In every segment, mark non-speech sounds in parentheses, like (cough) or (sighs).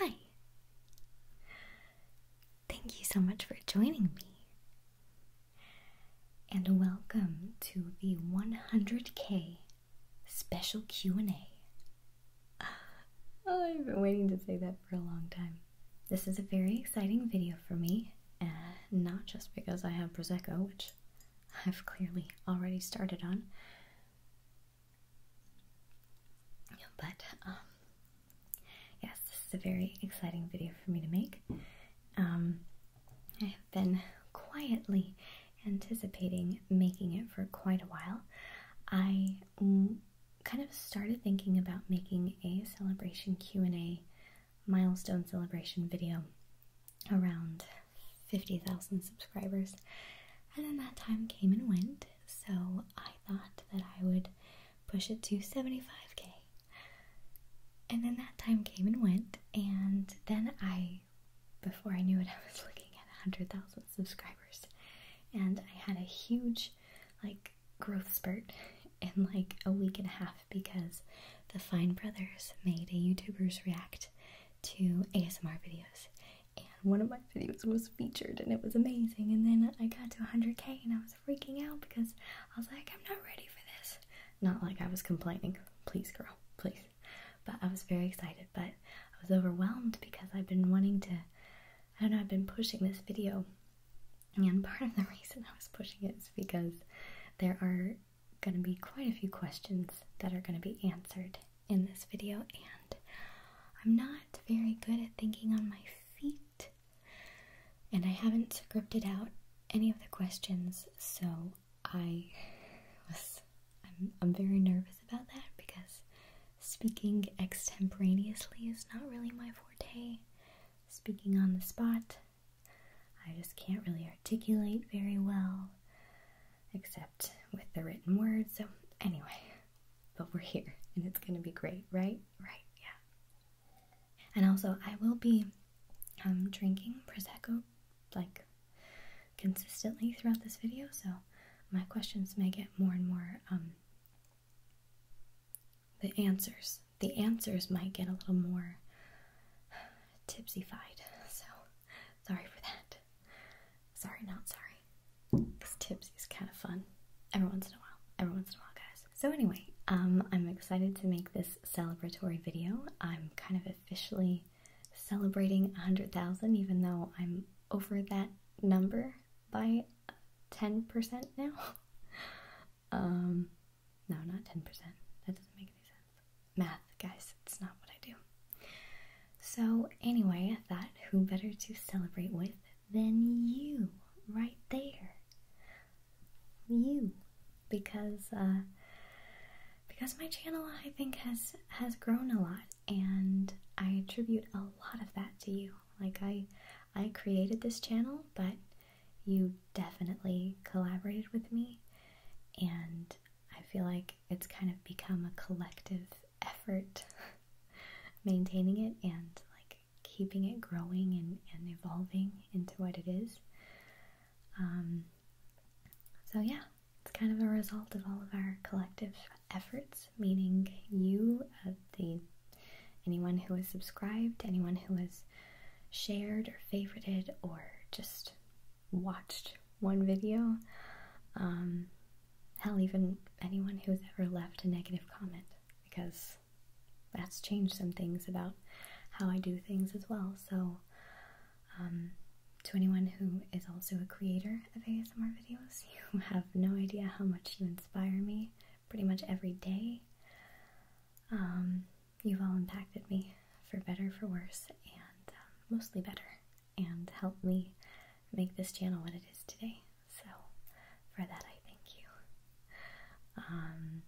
Hi. Thank you so much for joining me. And welcome to the 100k special Q&A. (sighs) Oh, I've been waiting to say that for a long time. This is a very exciting video for me, uh, not just because I have Prosecco, which I've clearly already started on, but um, yes, this is a very exciting video for me to make. Um, I have been quietly anticipating making it for quite a while. I mm, kind of started thinking about making a celebration Q&A milestone celebration video around 50,000 subscribers. And then that time came and went so I thought that I would push it to 75k. And then that time came and went, and then I, before I knew it, (laughs) I was looking at 100,000 subscribers. And I had a huge, like, growth spurt (laughs) in like a week and a half because the Fine Brothers made a YouTuber's react to ASMR videos and one of my videos was featured and it was amazing and then I got to 100k and I was freaking out because I was like I'm not ready for this not like I was complaining please girl please but I was very excited but I was overwhelmed because I've been wanting to I don't know I've been pushing this video and part of the (laughs) reason I was pushing it is because there are going to be quite a few questions that are going to be answered in this video, and I'm not very good at thinking on my feet, and I haven't scripted out any of the questions, so I was I'm very nervous about that because speaking extemporaneously is not really my forte. Speaking on the spot, I just can't really articulate very well, except with the written word. So anyway, but we're here and it's going to be great, right? Right, yeah. And also, I will be um, drinking Prosecco like consistently throughout this video, so my questions may get more and more. Um, the answers, the answers might get a little more (sighs) tipsy-fied, so sorry for that it. Sorry, not sorry. tipsy is kind of fun. Every once in a while. Every once in a while, guys. So anyway, um, I'm excited to make this celebratory video. I'm kind of officially celebrating 100,000, even though I'm over that number by 10% now. (laughs) Um, no, not 10%. That doesn't make any sense. Math, guys, it's not what I do. So, anyway, I thought who better to celebrate with than you right there? You. Because, uh, because my channel, I think, has, has grown a lot, and I attribute a lot of that to you. Like, I, I created this channel, but you definitely collaborated with me, and I feel like it's kind of become a collective effort (laughs) maintaining it and like keeping it growing and, and evolving into what it is. Um, so, yeah, it's kind of a result of all of our collective efforts, meaning you, uh, the anyone who has subscribed, anyone who has shared or favorited or just watched one video. Um, hell, even anyone who's ever left a negative comment, because that's changed some things about how I do things as well. So, um, to anyone who is also a creator of ASMR videos, (laughs) you have no idea how much you inspire me pretty much every day. Um, you've all impacted me for better, for worse, and um, mostly better and help me make this channel what it is today. So, for that, I thank you. Um,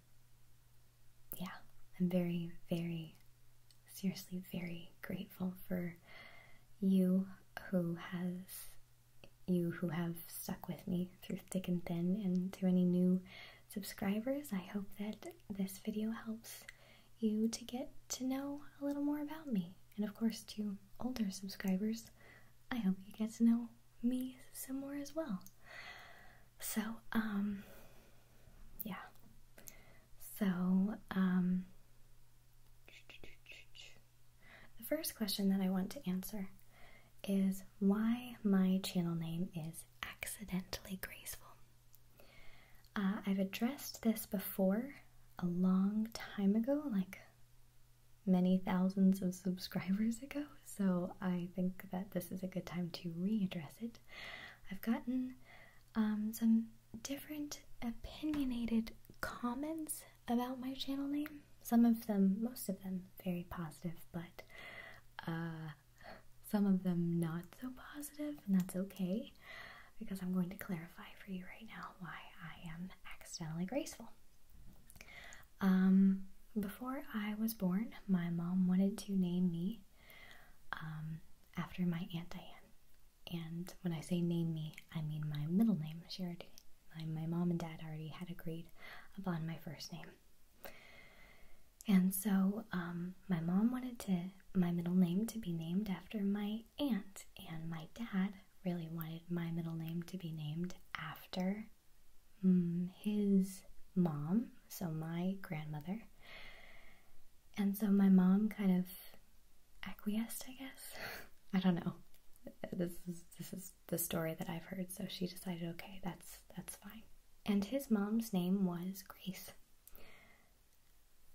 yeah, I'm very, very, seriously, very grateful for you who has you who have stuck with me through thick and thin and to any new subscribers i hope that this video helps you to get to know a little more about me and of course to older subscribers I hope you get to know me some more as well. So, um, yeah. So, um, the first question that I want to answer is why my channel name is Accidentally Graceful. Uh, I've addressed this before a long time ago, like many thousands of subscribers ago, so I think that this is a good time to readdress it. I've gotten um, some different opinionated comments about my channel name. Some of them, most of them, very positive, but uh, some of them not so positive, and that's okay because I'm going to clarify for you right now why I am accidentally graceful. Um, before I was born, my mom wanted to name me um, after my Aunt Diane. And when I say name me, I mean my middle name. She already, my, mom and dad already had agreed upon my first name. And so um, my mom wanted to my middle name to be named after my aunt and my dad really wanted my middle name to be named after mm, his mom, so my grandmother. And so my mom kind of acquiesced, I guess. (laughs) I don't know. This is this is the story that I've heard, so she decided, okay, that's that's fine. And his mom's name was Grace.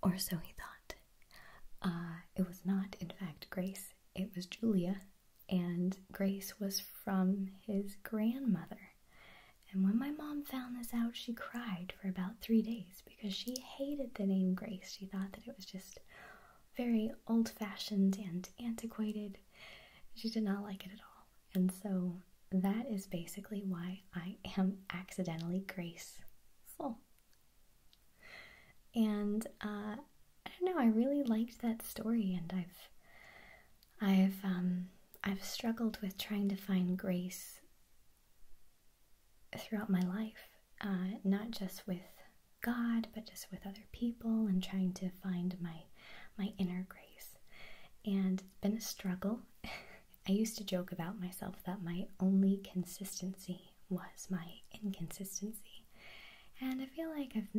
Or so he thought. Uh, it was not, in fact, Grace, it was Julia, and Grace was from his grandmother. And when my mom found this out, she cried for about three days because she hated the name Grace. She thought that it was just very old fashioned and antiquated. She did not like it at all. And so that is basically why I am accidentally graceful and uh, I don't know. I really liked that story, and I've, I've, um, I've struggled with trying to find grace throughout my life, uh, not just with God, but just with other people, and trying to find my my inner grace. And it's been a struggle. (laughs) I used to joke about myself that my only consistency was my inconsistency. And I feel like I've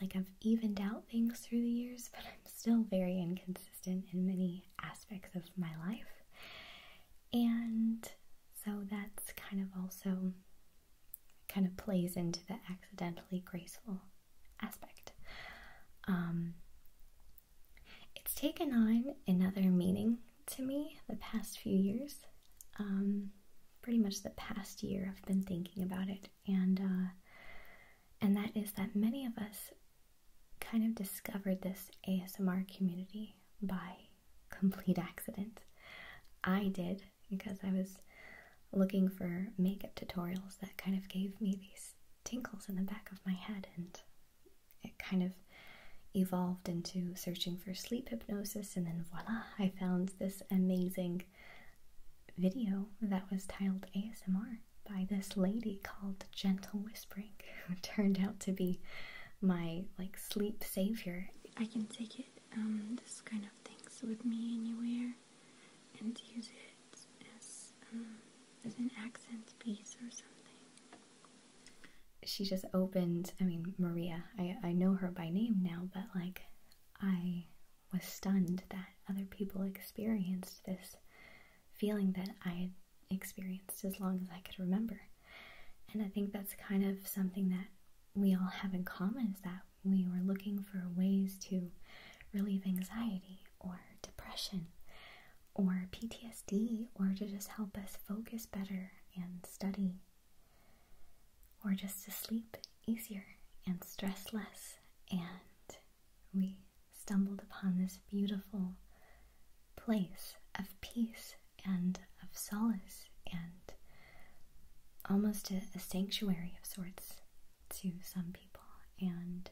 like I've evened out things through the years, but I'm still very inconsistent in many aspects of my life. And so that's kind of also kind of plays into the accidentally graceful aspect. Um, it's taken on another meaning to me the past few years. Um, pretty much the past year I've been thinking about it, and uh, and that is that many of us kind of discovered this ASMR community by complete accident. I did because I was looking for makeup tutorials that kind of gave me these tinkles in the back of my head, and it kind of evolved into searching for sleep hypnosis, and then voila, I found this amazing video that was titled ASMR by this lady called Gentle Whispering, (laughs) who turned out to be my like sleep savior. I can take it, um, this kind of things with me anywhere and use it as, um, as an accent piece or something. She just opened, I mean, Maria I, know her by name now, but like I was stunned that other people experienced this feeling that I experienced as long as I could remember. And I think that's kind of something that we all have in common is that we were looking for ways to relieve anxiety or depression or PTSD or to just help us focus better and study or just to sleep easier and stress less. And we stumbled upon this beautiful place of peace and of solace and almost a, sanctuary of sorts to some people. And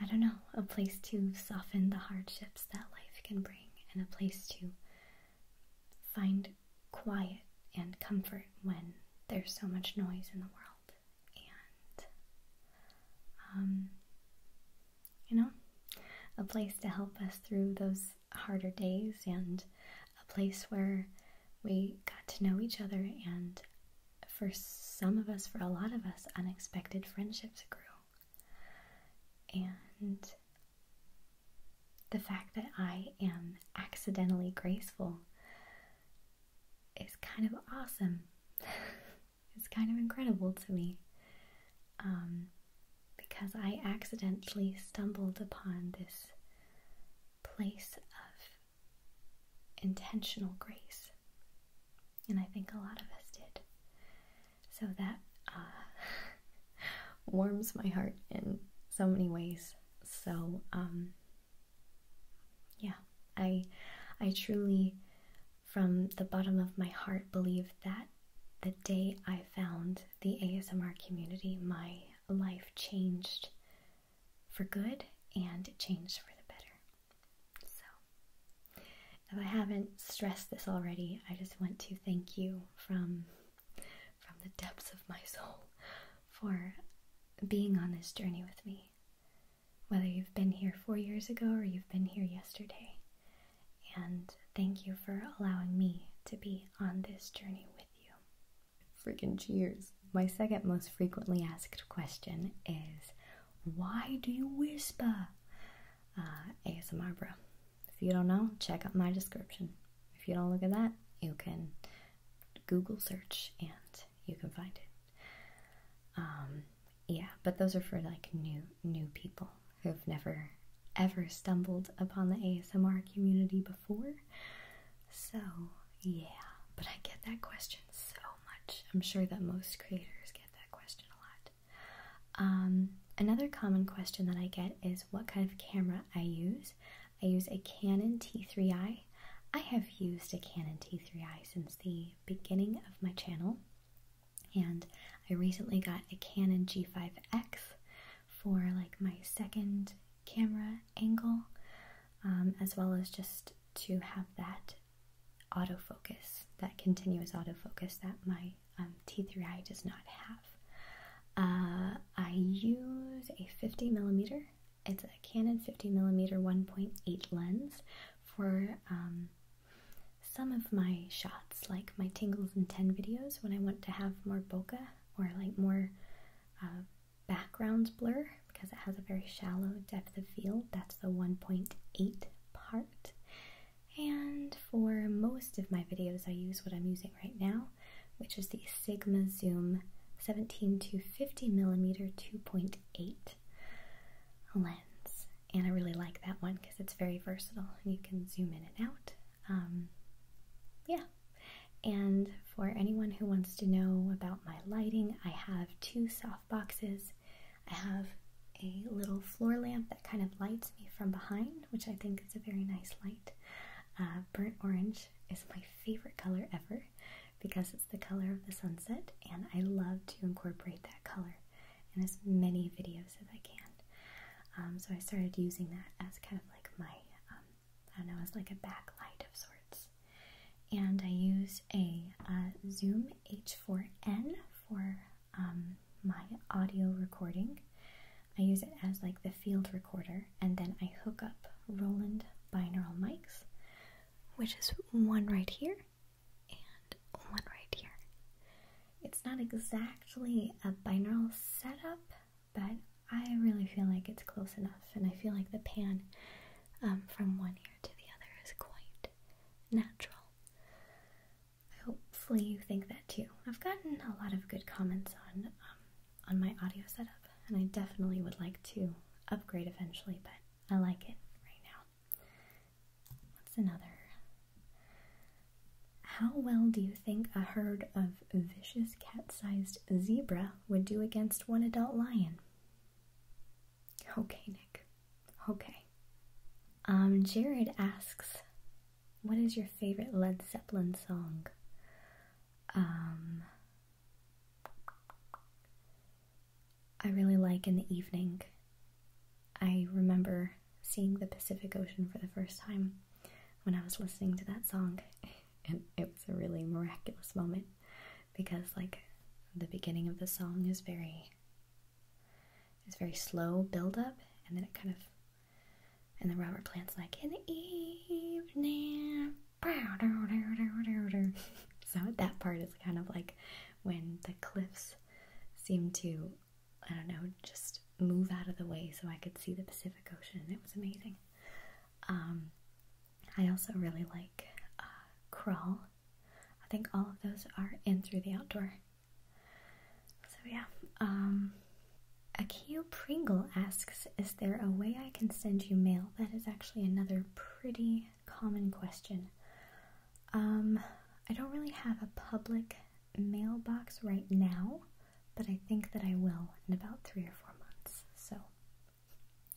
I don't know, a place to soften the hardships that life can bring and a place to find quiet and comfort when there's so much noise in the world. And, um, you know, a place to help us through those harder days and a place where we got to know each other and for some of us, for a lot of us, unexpected friendships grew. And the fact that I am accidentally graceful is kind of awesome. (laughs) it's kind of incredible to me. Um, because I accidentally stumbled upon this place of intentional grace. And I think a lot of us did. So that, uh, (laughs) (laughs) warms my heart in so many ways. So um, yeah, I I truly from the bottom of my heart believe that the day I found the ASMR community, my life changed for good and changed for the better. So, if I haven't stressed this already, I just want to thank you from from the depths of my soul for being on this journey with me. Whether you've been here four years ago or you've been here yesterday. And thank you for allowing me to be on this journey with you. Freaking cheers. My second most frequently asked question is Why do you whisper? Uh, ASMR bro. If you don't know, check out my description. If you don't look at that, you can Google search and you can find it. Um, yeah, but those are for like new new people who've never ever stumbled upon the ASMR community before. So yeah, but I get that question so much. I'm sure that most creators get that question a lot. Um, another common question that I get is what kind of camera I use. I use a Canon T3i. I have used a Canon T3i since the beginning of my channel, and I recently got a Canon G5X for like my second camera angle, um, as well as just to have that autofocus, that continuous autofocus that my um, T3i does not have. Uh, I use a 50 millimeter. It's a Canon 50 millimeter 1.8 lens for um, some of my shots, like my tingles and 10 videos, when I want to have more bokeh or like more uh, backgrounds blur because it has a very shallow depth of field. That's the 1.8 part. And for most of my videos, I use what I'm using right now, which is the Sigma Zoom 17 to 50 millimeter 2.8 lens. And I really like that one because it's very versatile and you can zoom in and out. Um, yeah. And for anyone who wants to know about my lighting, I have two soft boxes. I have a little floor lamp that kind of lights me from behind, which I think is a very nice light. Uh, burnt orange is my favorite color ever because it's the color of the sunset, and I love to incorporate that color in as many videos as I can. Um, so I started using that as kind of like my, um, I don't know, as like a backlight of sorts. And I use a Zoom H4n for um, my audio recording. I use it as like the field recorder, and then I hook up Roland binaural mics, which is one right here and one right here. It's not exactly a binaural setup, but I really feel like it's close enough, and I feel like the pan um, from one ear to the other is quite natural. Hopefully, you think that too. I've gotten a lot of good comments on um, on my audio setup, and I definitely would like to upgrade eventually, but I like it right now. What's another? How well do you think a herd of vicious cat sized zebra would do against one adult lion? Okay, Nick. Okay. Um, Jared asks what is your favorite Led Zeppelin song? Um, I really like In the Evening. I remember seeing the Pacific Ocean for the first time when I was listening to that song, (laughs) and it was a really miraculous moment because, like, the beginning of the song is very is very slow build up, and then it kind of and then Robert plant's like, in the evening. (laughs) so that part is kind of like when the cliffs seem to, I don't know, just move out of the way so I could see the Pacific Ocean. It was amazing. Um, I also really like uh, Crawl. I think all of those are in through the outdoor. So yeah, um, Akio Pringle asks, Is there a way I can send you mail? That is actually another pretty common question. Um, I don't really have a public mailbox right now, but I think that I will in about three or four months. So,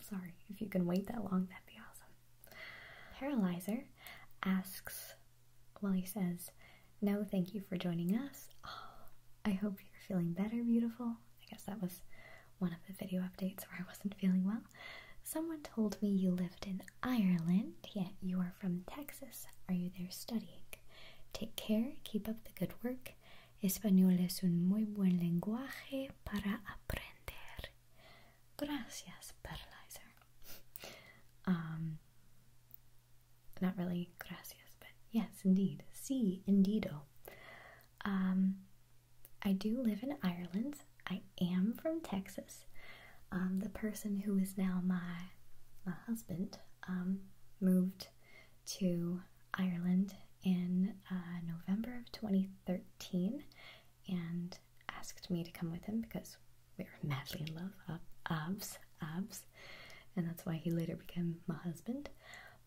sorry, if you can wait that long, that'd be awesome. Paralyzer asks, well, he says, No, thank you for joining us. I hope you're feeling better, beautiful. I guess that was one of the video updates where I wasn't feeling well. Someone told me you lived in Ireland, yet you are from Texas. Are you there studying? Take care, keep up the good work. Español es un muy buen lenguaje para aprender. Gracias, Perlizer. (laughs) Um, not really gracias, but yes, indeed. See, indeedo. Um, I do live in Ireland. I am from Texas. Um, the person who is now my my husband um, moved to Ireland in uh, November of 2013 and asked me to come with him because we were madly in love, uh, Of obs abs, and that's why he later became my husband.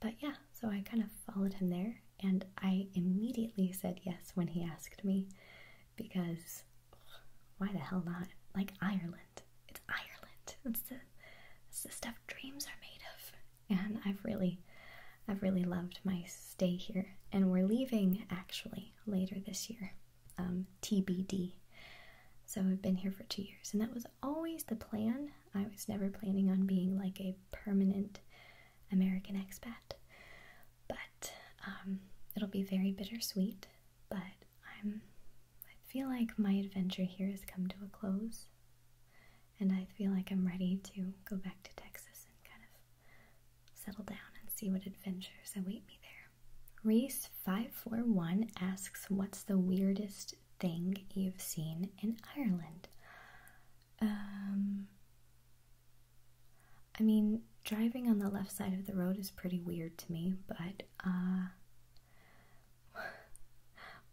But yeah, so I kind of followed him there, and I immediately said yes when he asked me because why the hell not? Like Ireland. It's Ireland. It's the, stuff dreams are made of. And I've really, I've really loved my stay here. And we're leaving actually later this year, um, TBD. So I've been here for two years, and that was always the plan. I was never planning on being like a permanent American expat, but um, it'll be very bittersweet. But I'm, I feel like my adventure here has come to a close, and I feel like I'm ready to go back to Texas and kind of settle down and see what adventures await me there. Reese541 asks, What's the weirdest thing you've seen in Ireland? Um, I mean, driving on the left side of the road is pretty weird to me, but uh, (laughs)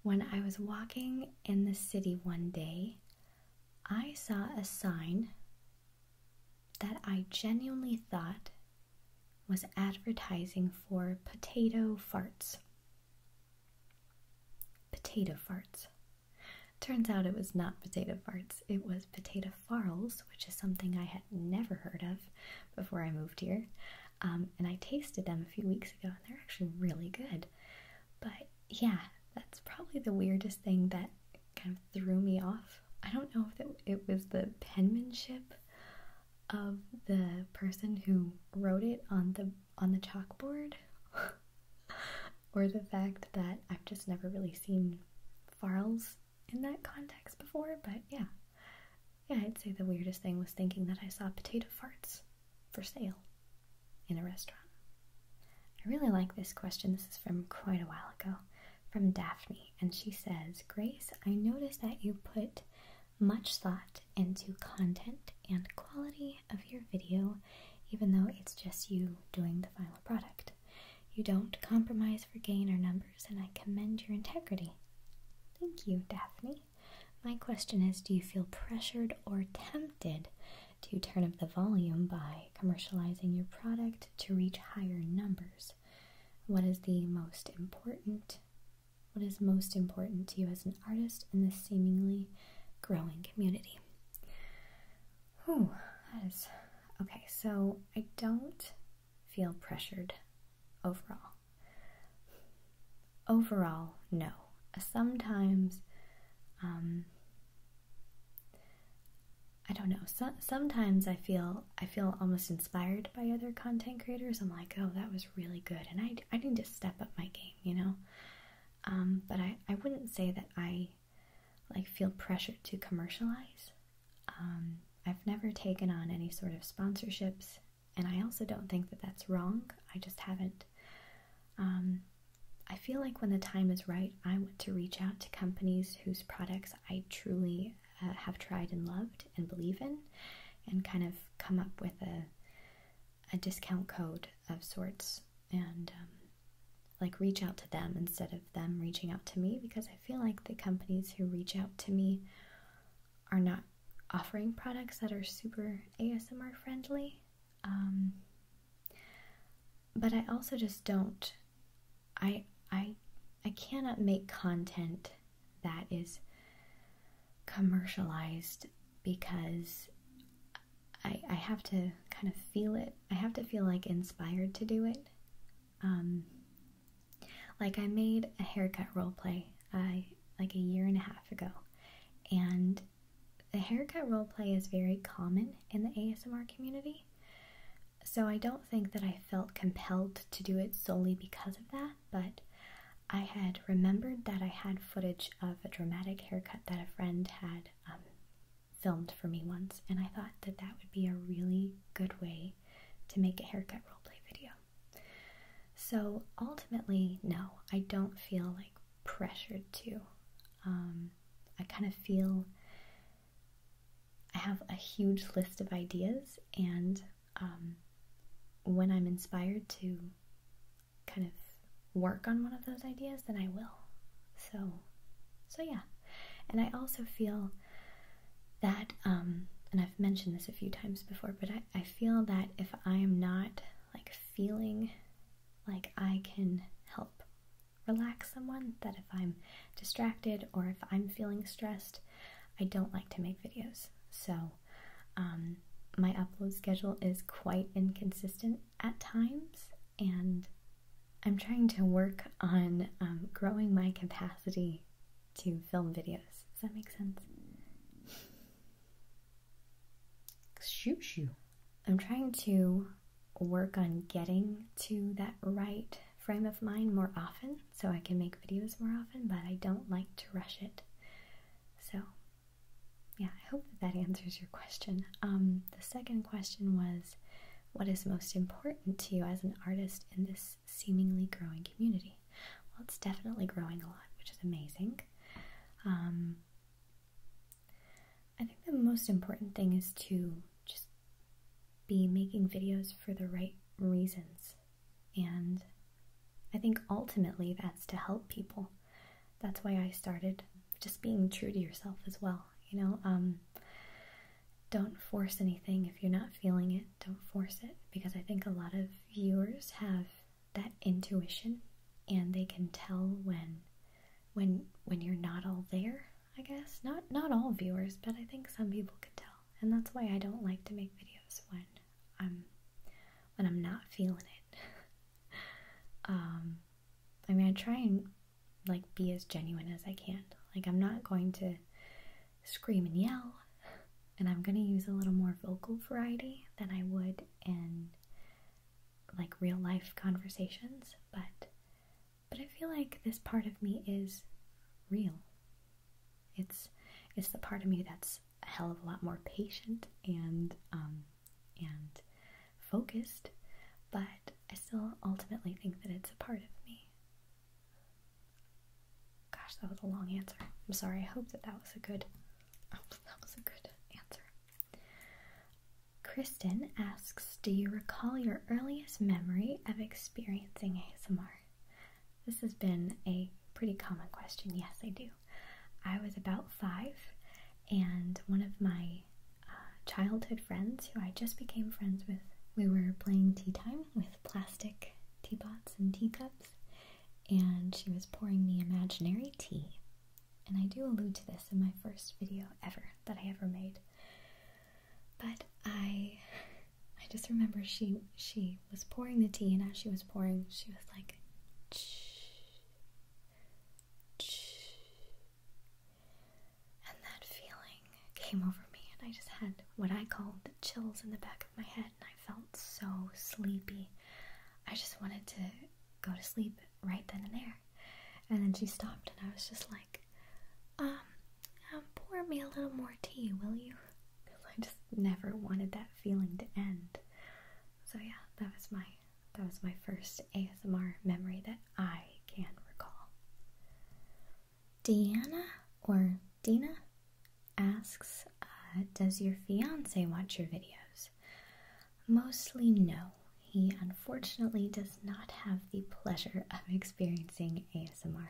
when I was walking in the city one day, I saw a sign that I genuinely thought was advertising for potato farts. Potato farts. Turns out it was not potato farts, it was potato farls, which is something I had never heard of before I moved here. Um, and I tasted them a few weeks ago, and they're actually really good. But yeah, that's probably the weirdest thing that kind of threw me off. I don't know if it was the penmanship of the person who wrote it on the on the chalkboard (laughs) or the fact that I've just never really seen farts in that context before, but yeah. Yeah, I'd say the weirdest thing was thinking that I saw potato farts for sale in a restaurant. I really like this question. This is from quite a while ago from Daphne, and she says, Grace, I noticed that you put much thought into content and quality of your video, even though it's just you doing the final product. You don't compromise for gain or numbers, and I commend your integrity. Thank you, Daphne. My question is do you feel pressured or tempted to turn up the volume by commercializing your product to reach higher numbers? What is the most important what is most important to you as an artist in this seemingly growing community. Oh, that is okay. So I don't feel pressured overall. Overall, no. Sometimes, um, I don't know. sometimes I feel I feel almost inspired by other content creators. I'm like, oh, that was really good, and I, I need to step up my game, you know. Um, but I, I wouldn't say that I like feel pressured to commercialize. Um, I've never taken on any sort of sponsorships, and I also don't think that that's wrong. I just haven't. Um, I feel like when the time is right, I want to reach out to companies whose products I truly uh, have tried and loved and believe in, and kind of come up with a a discount code of sorts and um, like reach out to them instead of them reaching out to me because I feel like the companies who reach out to me are not offering products that are super ASMR friendly. Um, but I also just don't. I I I cannot make content that is commercialized because I, have to kind of feel it. I have to feel like inspired to do it. Um, like I made a haircut role play uh, like a year and a half ago, and the haircut role play is very common in the ASMR community. So I don't think that I felt compelled to do it solely because of that but I had remembered that I had footage of a dramatic haircut that a friend had um, filmed for me once, and I thought that that would be a really good way to make a haircut roleplay video. So ultimately, no, I don't feel like pressured to. Um, I kind of feel I have a huge list of ideas, and um, when I'm inspired to kind of work on one of those ideas, then I will. So, so yeah. And I also feel that, um, and I've mentioned this a few times before, but I, I feel that if I am not like feeling like I can help relax someone, that if I'm distracted or if I'm feeling stressed, I don't like to make videos. So um, my upload schedule is quite inconsistent at times, and I'm trying to work on um, growing my capacity to film videos. Does that make sense? Shoot, shoot. I'm trying to work on getting to that right frame of mind more often so I can make videos more often, but I don't like to rush it. So yeah, I hope that that answers your question. Um, the second question was what is most important to you as an artist in this seemingly growing community? Well, it's definitely growing a lot, which is amazing. Um, I think the most important thing is to just be making videos for the right reasons. And I think ultimately that's to help people that's why I started just being true to yourself as well. You know, um, don't force anything if you're not feeling it. Don't force it because I think a lot of viewers have that intuition and they can tell when when when you're not all there. I guess not not all viewers, but I think some people can tell, and that's why I don't like to make videos when I'm when I'm not feeling it. (laughs) Um, I mean, I try and like be as genuine as I can. Like I'm not going to scream and yell, and I'm gonna use a little more vocal variety than I would in like real life conversations. But but I feel like this part of me is real. It's it's the part of me that's a hell of a lot more patient and um, and focused, but I still ultimately think that it's a part of me. Gosh, that was a long answer. I'm sorry. I hope that that was a good (laughs) that was a good answer. Kristen asks, "Do you recall your earliest memory of experiencing ASMR?" This has been a pretty common question. Yes, I do. I was about five, and one of my uh, childhood friends, who I just became friends with, we were playing tea time with plastic teapots and teacups, and she was pouring me imaginary tea. And I do allude to this in my first video ever that I ever made. But I I just remember she she was pouring the tea and as she was pouring she was like and that feeling came over me, and I just had what I called the chills in the back of my head, and I felt so sleepy. I just wanted to go to sleep right then and there. And then she stopped, and I was just like, um, um pour me a little more tea, will you? Because I just never wanted that feeling to end. So yeah, that was my that was my first ASMR memory that I can recall. Deanna or Dina asks, uh, does your fiance watch your videos? Mostly no. He unfortunately does not have the pleasure of experiencing ASMR,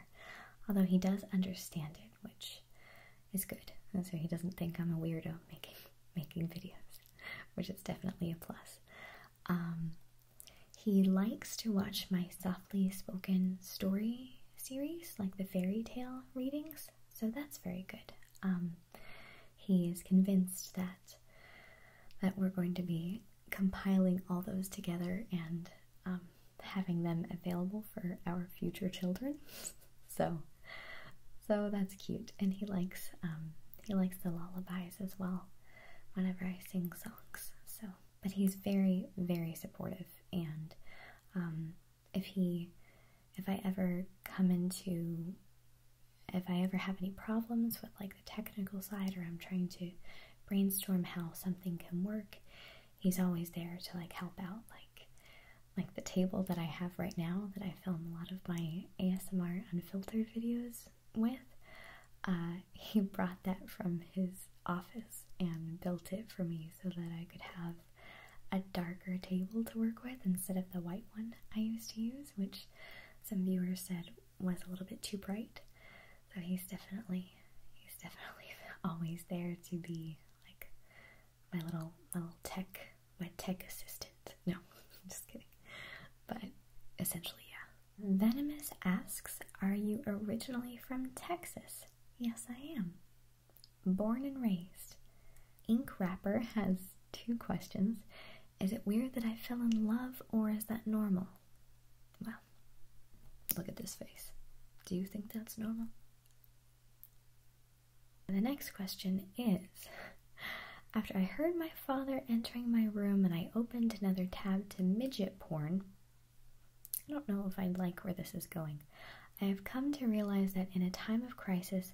although he does understand it, which is good. And so he doesn't think I'm a weirdo making making videos, which is definitely a plus. Um, he likes to watch my softly spoken story series, like the fairy tale readings, so that's very good. Um, he is convinced that that we're going to be compiling all those together and um, having them available for our future children. (laughs) so so that's cute. And he likes um, he likes the lullabies as well. Whenever I sing songs, so but he's very very supportive. And um, if he if I ever come into if I ever have any problems with like the technical side or I'm trying to brainstorm how something can work, he's always there to like help out. Like like the table that I have right now that I film a lot of my ASMR unfiltered videos with. Uh, (laughs) he brought that from his office and built it for me so that I could have a darker table to work with instead of the white one I used to use, which some viewers said was a little bit too bright. So he's definitely, he's (laughs) definitely always there to be like my little, my little tech my tech assistant. No, (laughs) just kidding. But essentially, yeah. Venomous asks, Are you originally from Texas? Yes, I am. Born and raised. Ink wrapper has two questions. Is it weird that I fell in love or is that normal? Well, look at this face. Do you think that's normal? The next question is After I heard my father entering my room and I opened another tab to midget porn, I don't know if I like where this is going. I have come to realize that in a time of crisis,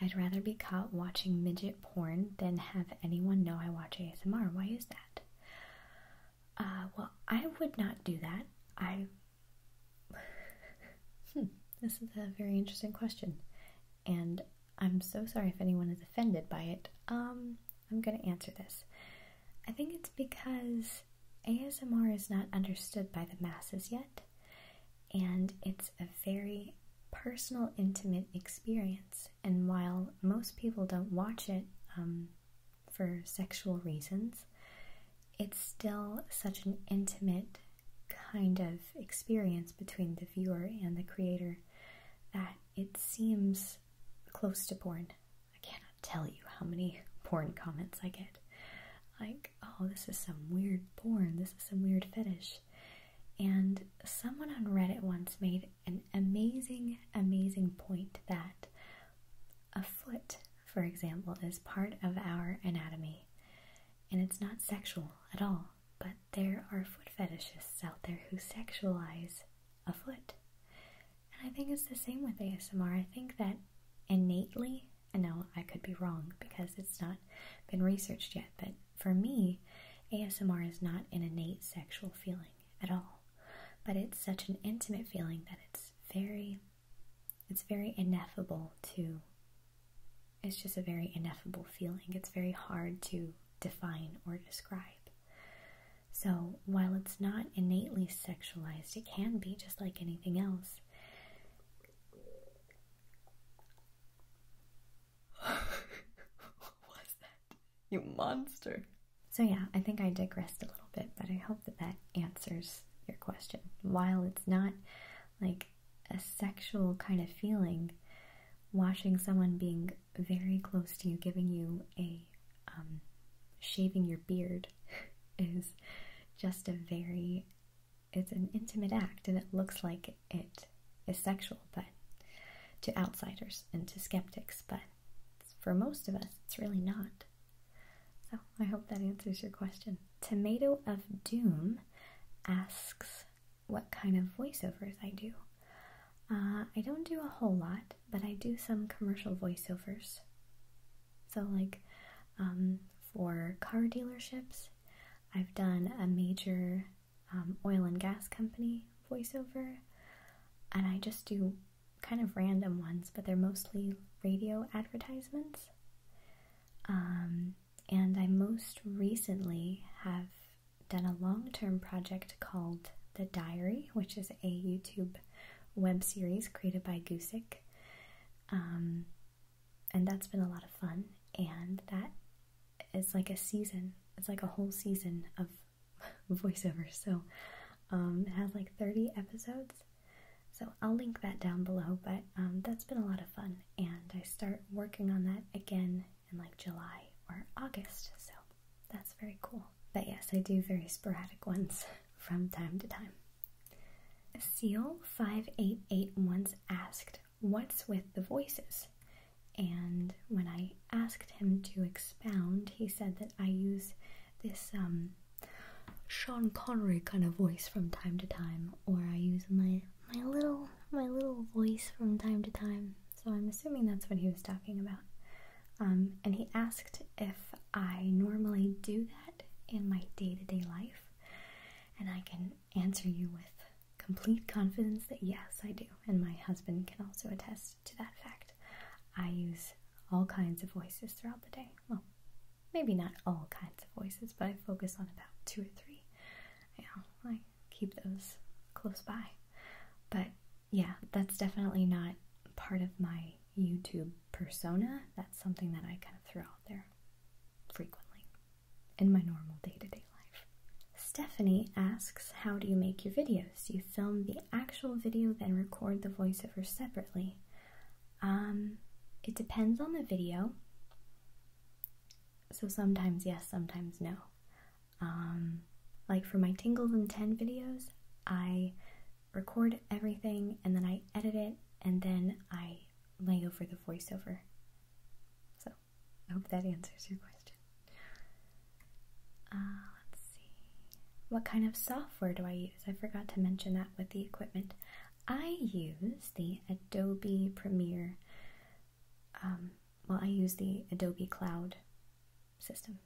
I'd rather be caught watching midget porn than have anyone know I watch ASMR. Why is that? Uh, well, I would not do that. I Hmm, this is a very interesting question, and I'm so sorry if anyone is offended by it. Um, I'm going to answer this. I think it's because ASMR is not understood by the masses yet, and it's a very personal, intimate experience. And while most people don't watch it um, for sexual reasons, it's still such an intimate kind of experience between the viewer and the creator that it seems close to porn. I cannot tell you how many (laughs) porn comments I get. Like, oh, this is some weird porn, this is some weird fetish. And someone on Reddit once made an amazing, amazing point that a foot, for example, is part of our anatomy. And it's not sexual at all but there are foot fetishists out there who sexualize a foot. And I think it's the same with ASMR. I think that innately, and no, I could be wrong because it's not been researched yet, but for me, ASMR is not an innate sexual feeling at all. But it's such an intimate feeling that it's very it's very ineffable too. It's just a very ineffable feeling. It's very hard to define or describe. So, while it's not innately sexualized, it can be just like anything else. (laughs) what was that? You monster. So, yeah, I think I digressed a little bit, but I hope that that answers your question. While it's not like a sexual kind of feeling watching someone being very close to you, giving you a um, shaving your beard (laughs) is just a very it's an intimate act and it looks like it is sexual but to outsiders and to skeptics but for most of us it's really not so i hope that answers your question tomato of doom asks what kind of voiceovers I do. Uh, I don't do a whole lot, but I do some commercial voiceovers. So, like um, for car dealerships, I've done a major um, oil and gas company voiceover, and I just do kind of random ones, but they're mostly radio advertisements. Um, and I most recently have done a long term project called The Diary, which is a YouTube web series created by Gusick. Um, and that's been a lot of fun, and that is like a season, it's like a whole season of (laughs) voiceover. So um, it has like 30 episodes. So I'll link that down below, but um, that's been a lot of fun and I start working on that again in like July or August. So that's very cool. But yes, I do very sporadic ones (laughs) from time to time. Seal 588 once asked, What's with the voices? And when I asked him to expound, he said that I use this um, Sean Connery kind of voice from time to time, or I use my my little my little voice from time to time. So I'm assuming that's what he was talking about. Um, and he asked if I normally do that in my day-to-day life, and I can answer you with complete confidence that yes, I do. And my husband can also attest to that fact. I use all kinds of voices throughout the day. Well, maybe not all kinds of voices, but I focus on about two or three. You I keep those close by. But yeah, that's definitely not part of my YouTube persona. That's something that I kind of throw out there frequently in my normal day to day life. Stephanie asks, How do you make your videos? you film the actual video, then record the voiceover separately? Um, it depends on the video. So sometimes yes, sometimes no. Um, like for my Tingles and 10 videos, I record everything and then I edit it and then I lay over the voiceover. So I hope that answers your question. Uh, let's see. What kind of software do I use? I forgot to mention that with the equipment. I use the Adobe Premiere um, well, I use the Adobe Cloud system.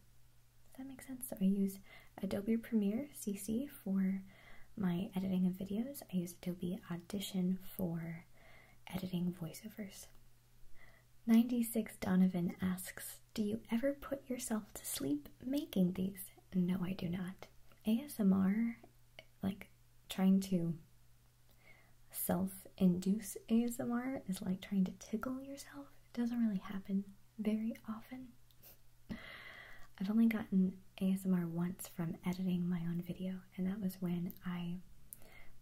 Does that make sense? I use Adobe Premiere CC for my editing of videos. I use Adobe Audition for editing voiceovers. 96 Donovan asks, Do you ever put yourself to sleep making these? No, I do not. ASMR, like trying to self-induce ASMR is like trying to tickle yourself. It doesn't really happen very often. I've only gotten ASMR once from editing my own video, and that was when I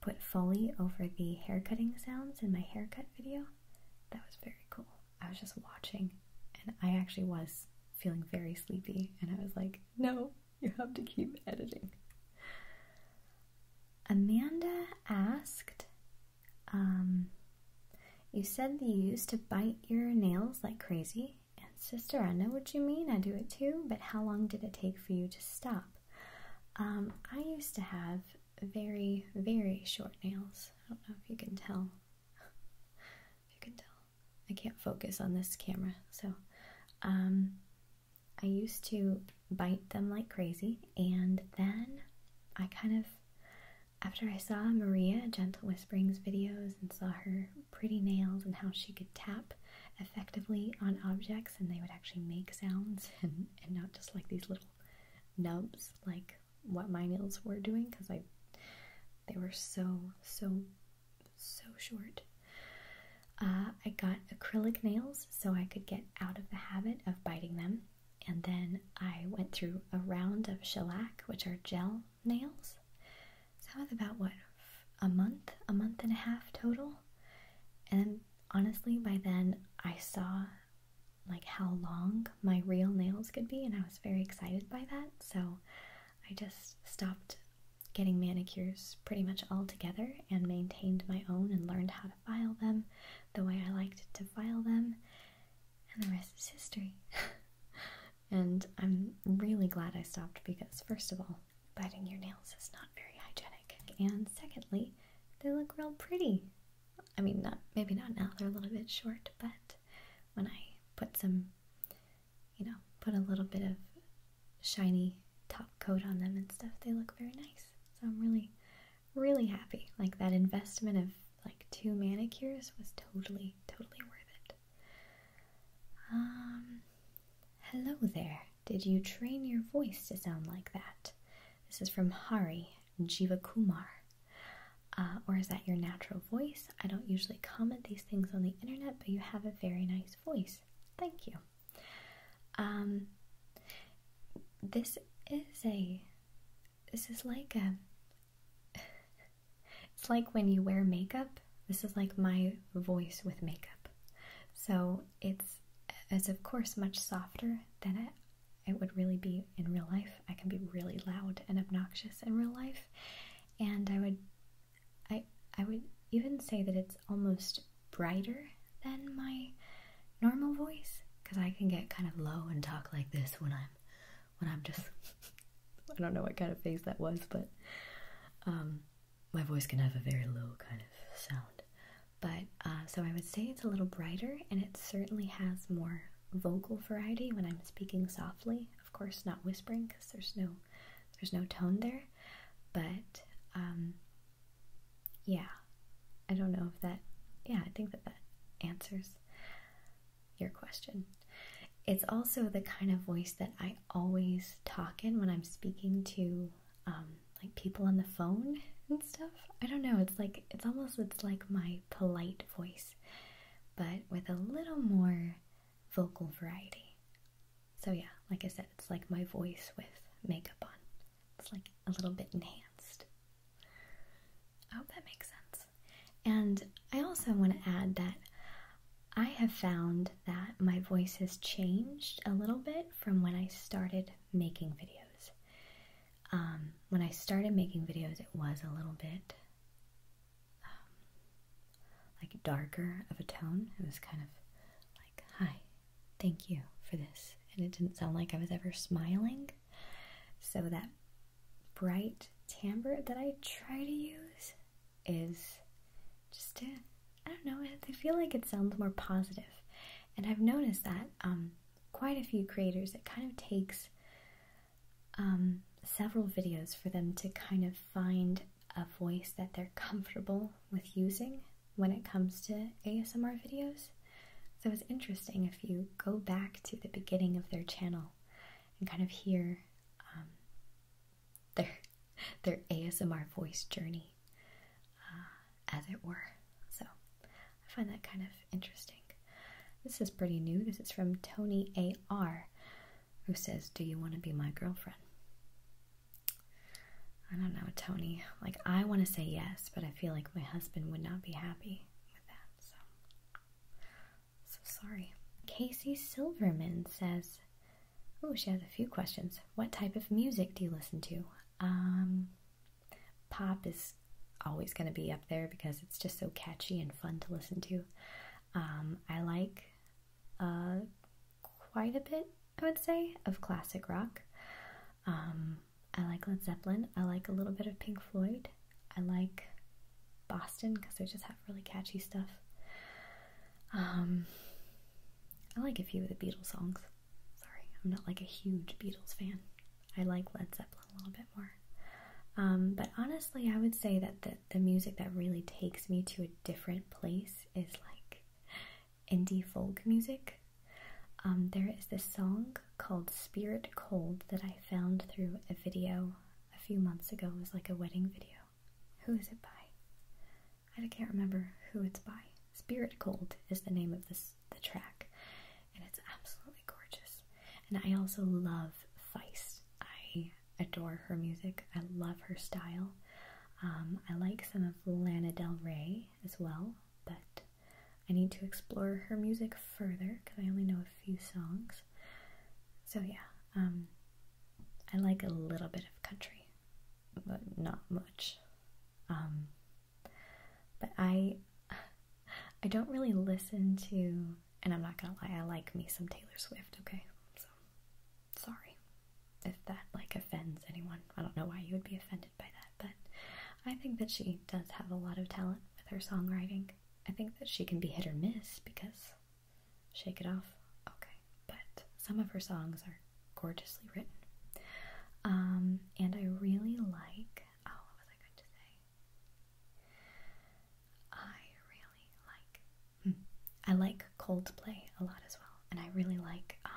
put Foley over the hair cutting sounds in my haircut video. That was very cool. I was just watching, and I actually was feeling very sleepy, and I was like, no, you have to keep editing. Amanda asked, um, You said that you used to bite your nails like crazy. And sister, I know what you mean. I do it too. But how long did it take for you to stop? Um, I used to have very, very short nails. I don't know if you can tell. (laughs) you can tell. I can't focus on this camera. So, um, I used to bite them like crazy, and then I kind of, after I saw Maria Gentle Whisperings videos and saw her pretty nails and how she could tap effectively on objects and they would actually make sounds (laughs) and, not just like these little nubs like what my nails were doing because I they were so so so short. Uh, I got acrylic nails so I could get out of the habit of biting them. And then I went through a round of shellac, which are gel nails. So that was about what, a month, a month and a half total? And honestly, by then I saw like how long my real nails could be, and I was very excited by that. So I just stopped getting manicures pretty much all together and maintained my own and learned how to file them the way I liked to file them, and the rest is history. (laughs) and I'm really glad I stopped because, first of all, biting your nails is not very hygienic, and secondly, they look real pretty. I mean, not maybe not now; they're a little bit short, but when I put some you know, put a little bit of shiny top coat on them and stuff, they look very nice. So I'm really, really happy. Like that investment of like two manicures was totally, totally worth it. Um, hello there. Did you train your voice to sound like that? This is from Hari Jiva Kumar. Uh, or is that your natural voice? I don't usually comment these things on the internet, but you have a very nice voice. Thank you. Um, this is a. This is like a. (laughs) it's like when you wear makeup. This is like my voice with makeup. So it's, it's of course much softer than it it would really be in real life. I can be really loud and obnoxious in real life, and I would I I would even say that it's almost brighter than my normal voice because I can get kind of low and talk like this when I'm when I'm just (laughs) I don't know what kind of face that was, but um, my voice can have a very low kind of sound. But uh, so I would say it's a little brighter, and it certainly has more vocal variety when I'm speaking softly. Of course, not whispering because there's no there's no tone there, but um, yeah, I don't know if that, yeah, I think that that answers your question. It's also the kind of voice that I always talk in when I'm speaking to um, like people on the phone and stuff. I don't know, it's like, it's almost, it's like my polite voice, but with a little more vocal variety. So yeah, like I said, it's like my voice with makeup on. It's like a little bit enhanced. I hope that makes sense. And I also want to add that I have found that my voice has changed a little bit from when I started making videos. Um, when I started making videos, it was a little bit um, like darker of a tone. It was kind of like, high thank you for this. And it didn't sound like I was ever smiling. So that bright timbre that I try to use is just to, I don't know, I feel like it sounds more And I've noticed that um, quite a few creators, it kind of takes um, several videos for them to kind of find a voice that they're comfortable with using when it comes to ASMR videos. So it's interesting if you go back to the beginning of their channel and kind of hear um, their (laughs) their ASMR voice journey, uh, as it were. So I find that kind of interesting. This is pretty new. because it's from Tony A.R., who says, Do you want to be my girlfriend? I don't know, Tony. Like, I want to say yes, but I feel like my husband would not be happy with that, so. So sorry. Casey Silverman says, Oh, she has a few questions. What type of music do you listen to? Um, pop is always going to be up there because it's just so catchy and fun to listen to. Um, I like uh, quite a bit, I would say, of classic rock. Um, I like Led Zeppelin. I like a little bit of Pink Floyd. I like Boston because they just have really catchy stuff. Um, I like a few of the Beatles songs. Sorry, I'm not like a huge Beatles fan. I like Led Zeppelin a little bit more. Um, but honestly, I would say that the, the music that really takes me to a different place is like indie folk music. Um, there is this song called Spirit Cold that I found through a video a few months ago. It was like a wedding video. Who is it by? I can't remember who it's by. Spirit Cold is the name of this the track, and it's absolutely gorgeous. And I also love Feist. I adore her music. I love her style. Um, I like some of Lana Del Rey as well, but I need to explore her music further because I only know a few songs. So, yeah, um, I like a little bit of country, but not much. Um, but I, (laughs) I don't really listen to, and I'm not gonna lie, I like me some Taylor Swift, okay? So, sorry if that like offends anyone. I don't know why you would be offended by that, but I think that she does have a lot of talent with her songwriting. I think that she can be hit or miss because Shake It Off, okay, but some of her songs are gorgeously written. Um, and I really like, oh, what was I going to say? I really like, hmm, I like Coldplay a lot as well, and I really like, um,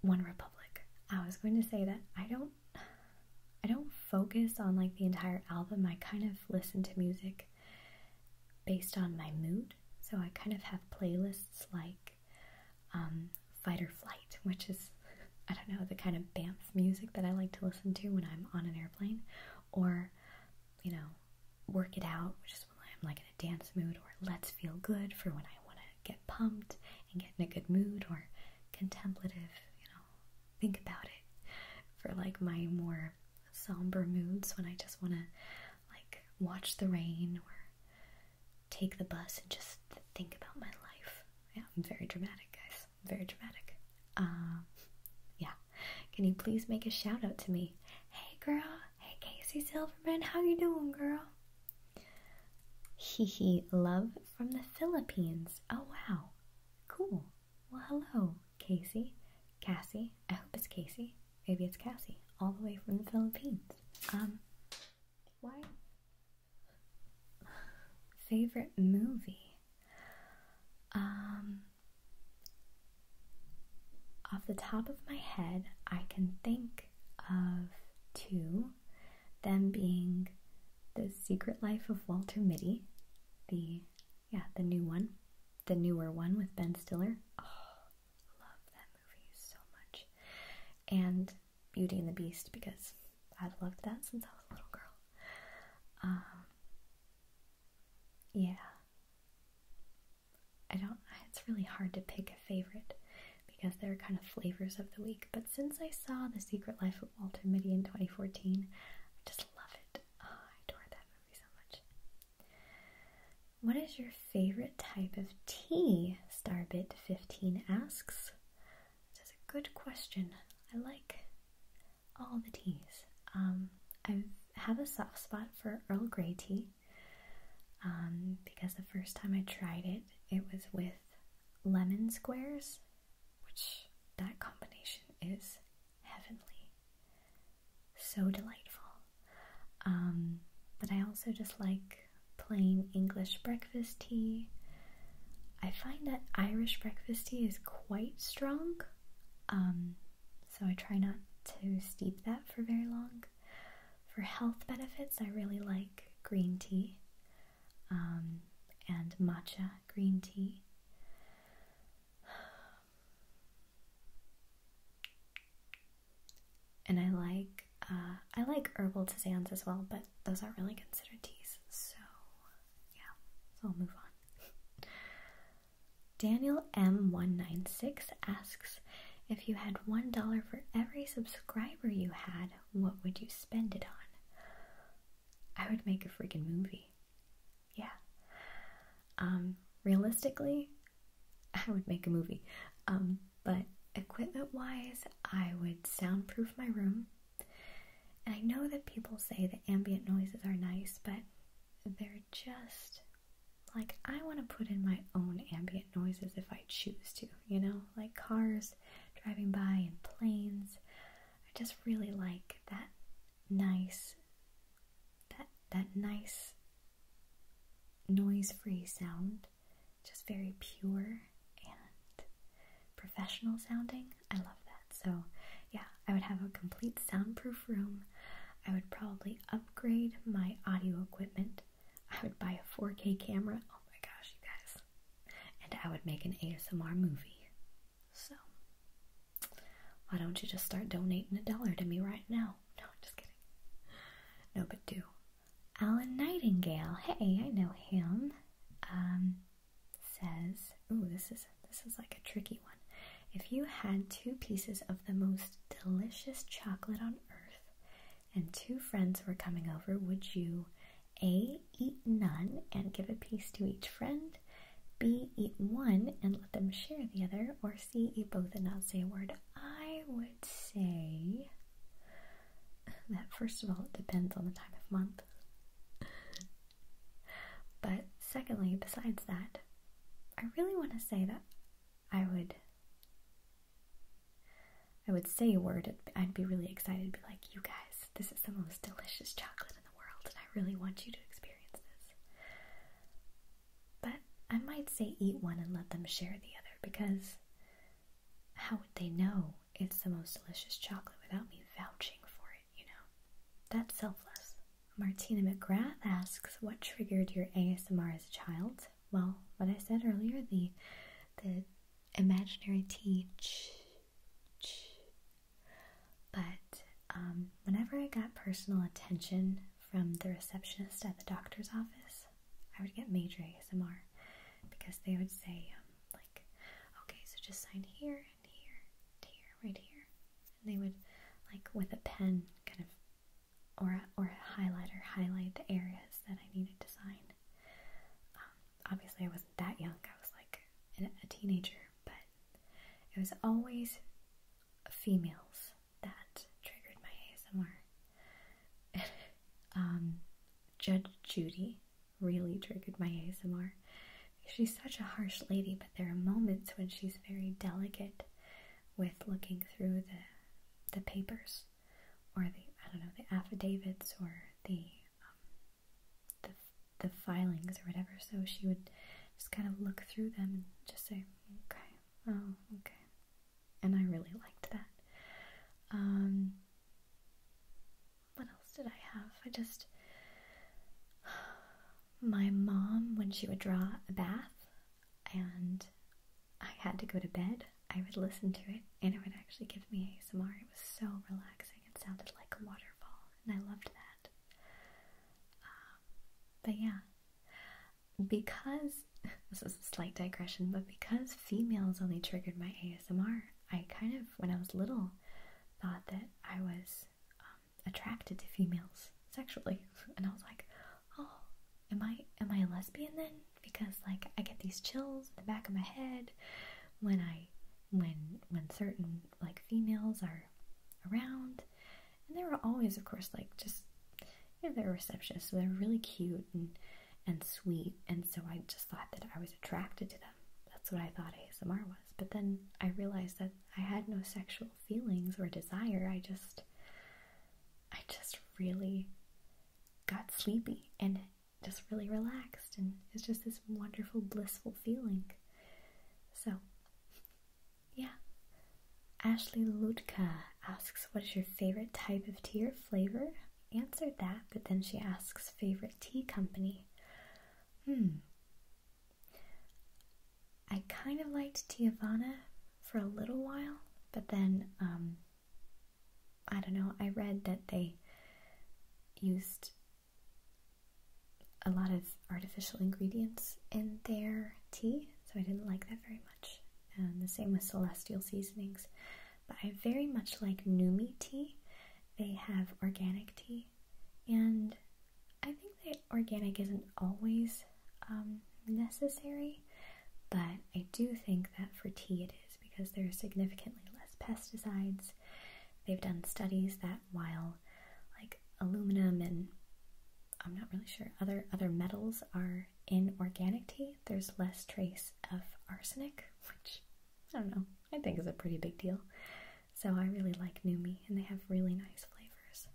one Republic. I was going to say that I don't I don't focus on like the entire album. I kind of listen to music based on my mood. So I kind of have playlists like um, Fight or Flight, which is, (laughs) I don't know, the kind of BAMF music that I like to listen to when I'm on an airplane, or, you know, work it out, which is when I'm like in a dance mood, or let's feel good for when I want to get pumped and get in a good mood, or contemplative, you know, think about it for like my more somber moods when I just want to like watch the rain or take the bus and just think about my life. Yeah, I'm very dramatic, guys. very dramatic. Um, yeah. Can you please make a shout out to me? Hey, girl, Hey Casey Silverman, how you doing, girl? Hee hee, love from the Philippines. Oh wow. Cool. Well hello, Casey. Cassie. I hope it's Casey. Maybe it's Cassie. All the way from the Philippines. Um why? Favorite movie? Um off the top of my head, I can think of two, them being The Secret Life of Walter Mitty, the yeah, the new one, the newer one with Ben Stiller. Oh, love that movie so much. And Beauty and the Beast because I've loved that since I was a little girl. Um, yeah. I don't, it's really hard to pick a favorite because they're kind of flavors of the week. But since I saw The Secret Life of Walter Mitty in 2014, I just love it. Oh, I adore that movie so much. What is your favorite type of tea? Starbit15 asks. That's a good question. I like all the teas. Um, I have a soft spot for Earl Grey tea. Um, because the first time I tried it, it was with lemon squares, which that combination is heavenly. So delightful. Um, but I also just like plain English breakfast tea. I find that Irish breakfast tea is quite strong, um, so I try not to steep that for very long. For health benefits, I really like green tea um, and matcha green tea. And I like uh, I like herbal teas as well, but those aren't really considered teas. So yeah, so I'll move on. (laughs) Daniel M196 asks if you had one dollar for every subscriber you had, what would you spend it on? I would make a freaking movie. Yeah. Um, realistically, (laughs) I would make a movie. Um, but equipment wise, I would soundproof my room. And I know that people say that ambient noises are nice, but they're just like, I want to put in my own ambient noises if I choose to, you know, like cars driving by and planes. I just really like that nice, that, that nice noise-free sound, just very pure and professional sounding. I love that. So, yeah, I would have a complete soundproof room. I would probably upgrade my audio equipment I would buy a 4K camera. Oh my gosh, you guys. And I would make an ASMR movie. So, why don't you just start donating a dollar to me right now? No, I'm just kidding. No, but do. Alan Nightingale, hey, I know him. Um, says, oh, this is this is like a tricky one. If you had two pieces of the most delicious chocolate on earth, and two friends were coming over, would you A. eat none and give a piece to each friend, B. eat one and let them share the other, or C. eat both and not say a word? I would say that first of all, it depends on the time of month. But secondly, besides that, I really want to say that I would I would say a word, I'd be really excited, to be like, you guys, this is the most delicious chocolate in the world, and I really want you to experience this. But I might say eat one and let them share the other, because how would they know it's the most delicious chocolate without me vouching for it, you know? That's selfless. Martina McGrath asks, what triggered your ASMR as a child? well, what I said earlier, the the imaginary teach But um, whenever I got personal attention from the receptionist at the doctor's office, I would get major ASMR because they would say, um, like, okay, so just sign here and here, here, right here. And they would, like, with a pen, kind of or or highlighter highlight the areas that I needed to sign. Um, obviously, I wasn't that young. I was like a teenager, but it was always females that triggered my ASMR. (laughs) Um, Judge Judy really triggered my ASMR. She's such a harsh lady, but there are moments when she's very delicate with looking through the the papers or the I don't know the affidavits or the um, the the filings or whatever. So she would just kind of look through them and just say, "Okay, oh, okay," and I really liked that. Um, what else did I have? I just (sighs) my mom when she would draw a bath and I had to go to bed, I would listen to it and it would actually give me ASMR. It was so relaxing. It sounded like a waterfall and I loved that. Um, but yeah, because (laughs) this is a slight digression, but because females only triggered my ASMR, I kind of, when I was little, thought that I was um, attracted to females sexually. (laughs) And I was like, oh, am I am I a lesbian then? Because like I get these chills in the back of my head when I when when certain like females are around. And they were always, of course, like just you know, they're receptionists, they're really cute and and sweet, and so I just thought that I was attracted to them. That's what I thought ASMR was. But then I realized that I had no sexual feelings or desire. I just I just really got sleepy and just really relaxed. And it's just this wonderful, blissful feeling. So, yeah. Ashley Lutka asks, What is your favorite type of tea or flavor? answered that, but then she asks, Favorite tea company? Hmm. I kind of liked Tiavana for a little while, but then um, I don't know, I read that they used a lot of artificial ingredients in their tea, so I didn't like that very much. And um, the same with celestial seasonings. But I very much like Numi tea. They have organic tea, and I think that organic isn't always um, necessary, but I do think that for tea it is because there are significantly less pesticides. They've done studies that while like aluminum and I'm not really sure other other metals are in organic tea, there's less trace of arsenic, which I don't know, I think is a pretty big deal. So I really like Numi and they have really nice flavors.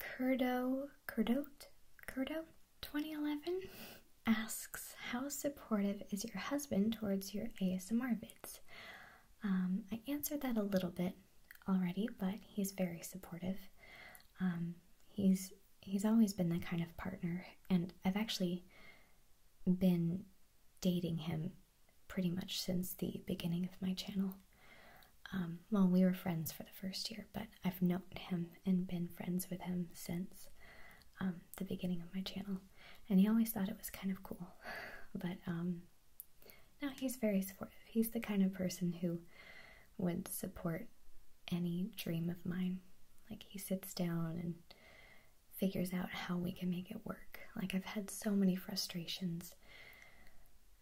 Curdo, curdote, curdo? 2011 asks, How supportive is your husband towards your ASMR vids? Um, I answered that a little bit already, but he's very supportive. Um, he's he's always been that kind of partner, and I've actually been dating him pretty much since the beginning of my channel. Um, well, we were friends for the first year, but I've known him and been friends with him since um, the beginning of my channel. And he always thought it was kind of cool. (laughs) But um, now he's very supportive. He's the kind of person who would support any dream of mine. Like, he sits down and figures out how we can make it work. Like, I've had so many frustrations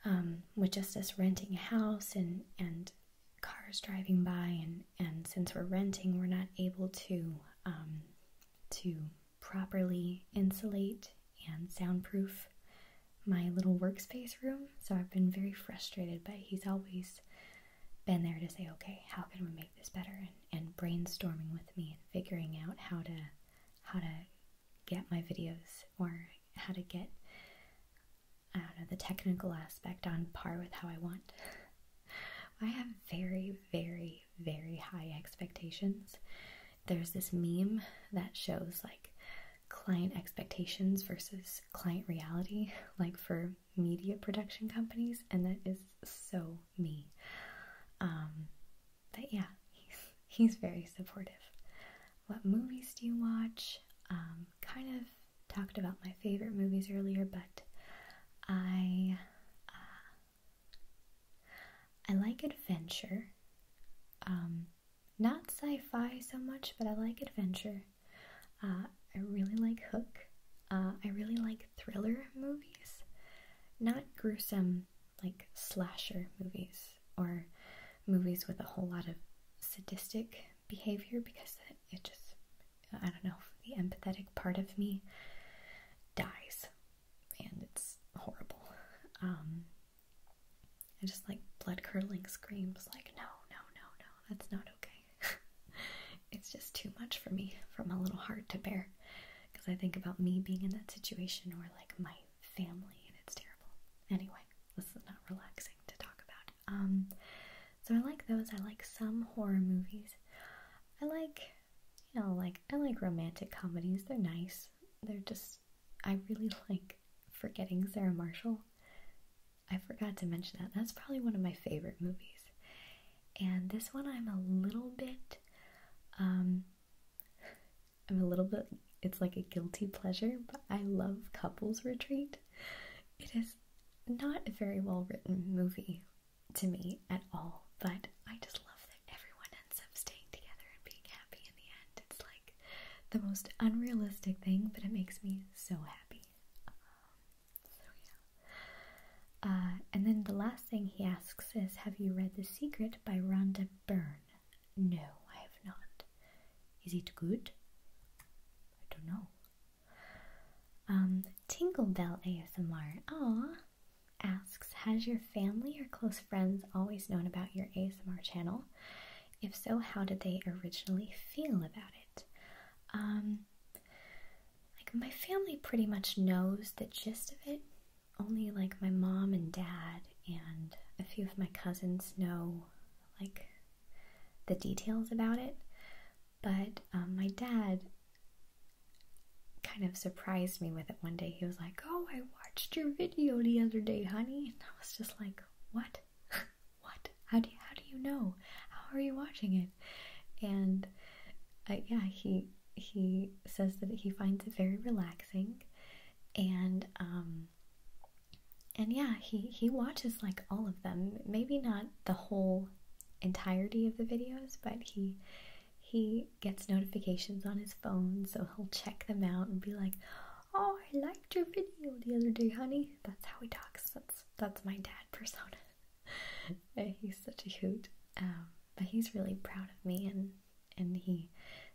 um, with just us renting a house and, and cars driving by and and since we're renting we're not able to um, to properly insulate and soundproof my little workspace room so I've been very frustrated but he's always been there to say okay how can we make this better and, brainstorming with me and figuring out how to how to get my videos or how to get I don't know, the technical aspect on par with how I want. (laughs) I have very, very, very high expectations. There's this meme that shows like client expectations versus client reality, (laughs) like for media production companies, and that is so me. Um, but yeah, he's, very supportive. What movies do you watch? Um, kind of talked about my favorite movies earlier, but I uh, I like adventure. Um, not sci-fi so much, but I like adventure. Uh, I really like Hook. Uh, I really like thriller movies, not gruesome like slasher movies or movies with a whole lot of sadistic behavior because it just I don't know, the empathetic part of me dies. And it's horrible. And um, just like blood curdling screams like, no, no, no, no, that's not okay. (laughs) it's just too much for me, for my little heart to bear. Because I think about me being in that situation or like my family, and it's terrible. Anyway, this is not relaxing to talk about. Um, so I like those. I like some horror movies. I like, you know, like I like romantic comedies. They're nice. They're just I really (laughs) like forgetting Sarah Marshall. I forgot to mention that. That's probably one of my favorite movies. And this one I'm a little bit um (laughs) I'm a little bit it's like a guilty pleasure, but I love Couples Retreat. It is not a very well written movie to me at all, but I just love that everyone ends up staying together and being happy in the end. It's like the most unrealistic thing, but it makes me so happy. Um, so, yeah. Uh, and then the last thing he asks is Have you read The Secret by Rhonda Byrne? No, I have not. Is it good? I don't know. Um, Tingle Bell ASMR. Aw asks, has your family or close friends always known about your ASMR channel? If so, how did they originally feel about it? Um, like my family pretty much knows the gist of it. Only like my mom and dad and a few of my cousins know like the details about it. But um, my dad kind of surprised me with it one day. He was like, Oh, I watched your video the other day, honey. And I was just like, What? (laughs) what? How do, you, how do you know? How are you watching it? And uh, yeah, he he says that he finds it very relaxing and um, and yeah he he watches like all of them maybe not the whole entirety of the videos, but he he gets notifications on his phone, so he'll check them out and be like, "Oh, I liked your video the other day, honey." That's how he talks. That's that's my dad persona. (laughs) he's such a hoot, um, but he's really proud of me, and and he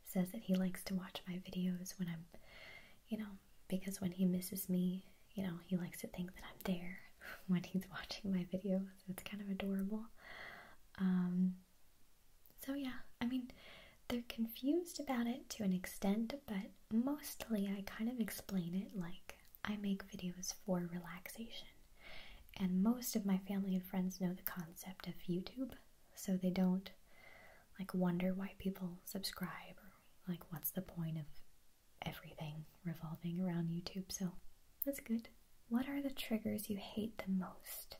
says that he likes to watch my videos when I'm, you know, because when he misses me, you know, he likes to think that I'm there when he's watching my videos. It's kind of adorable. Um, so, yeah, I mean, they're confused about it to an extent, but mostly I kind of explain it like I make videos for relaxation. And most of my family and friends know the concept of YouTube, so they don't like wonder why people subscribe or like what's the point of everything revolving around YouTube, so that's good. What are the triggers you hate the most?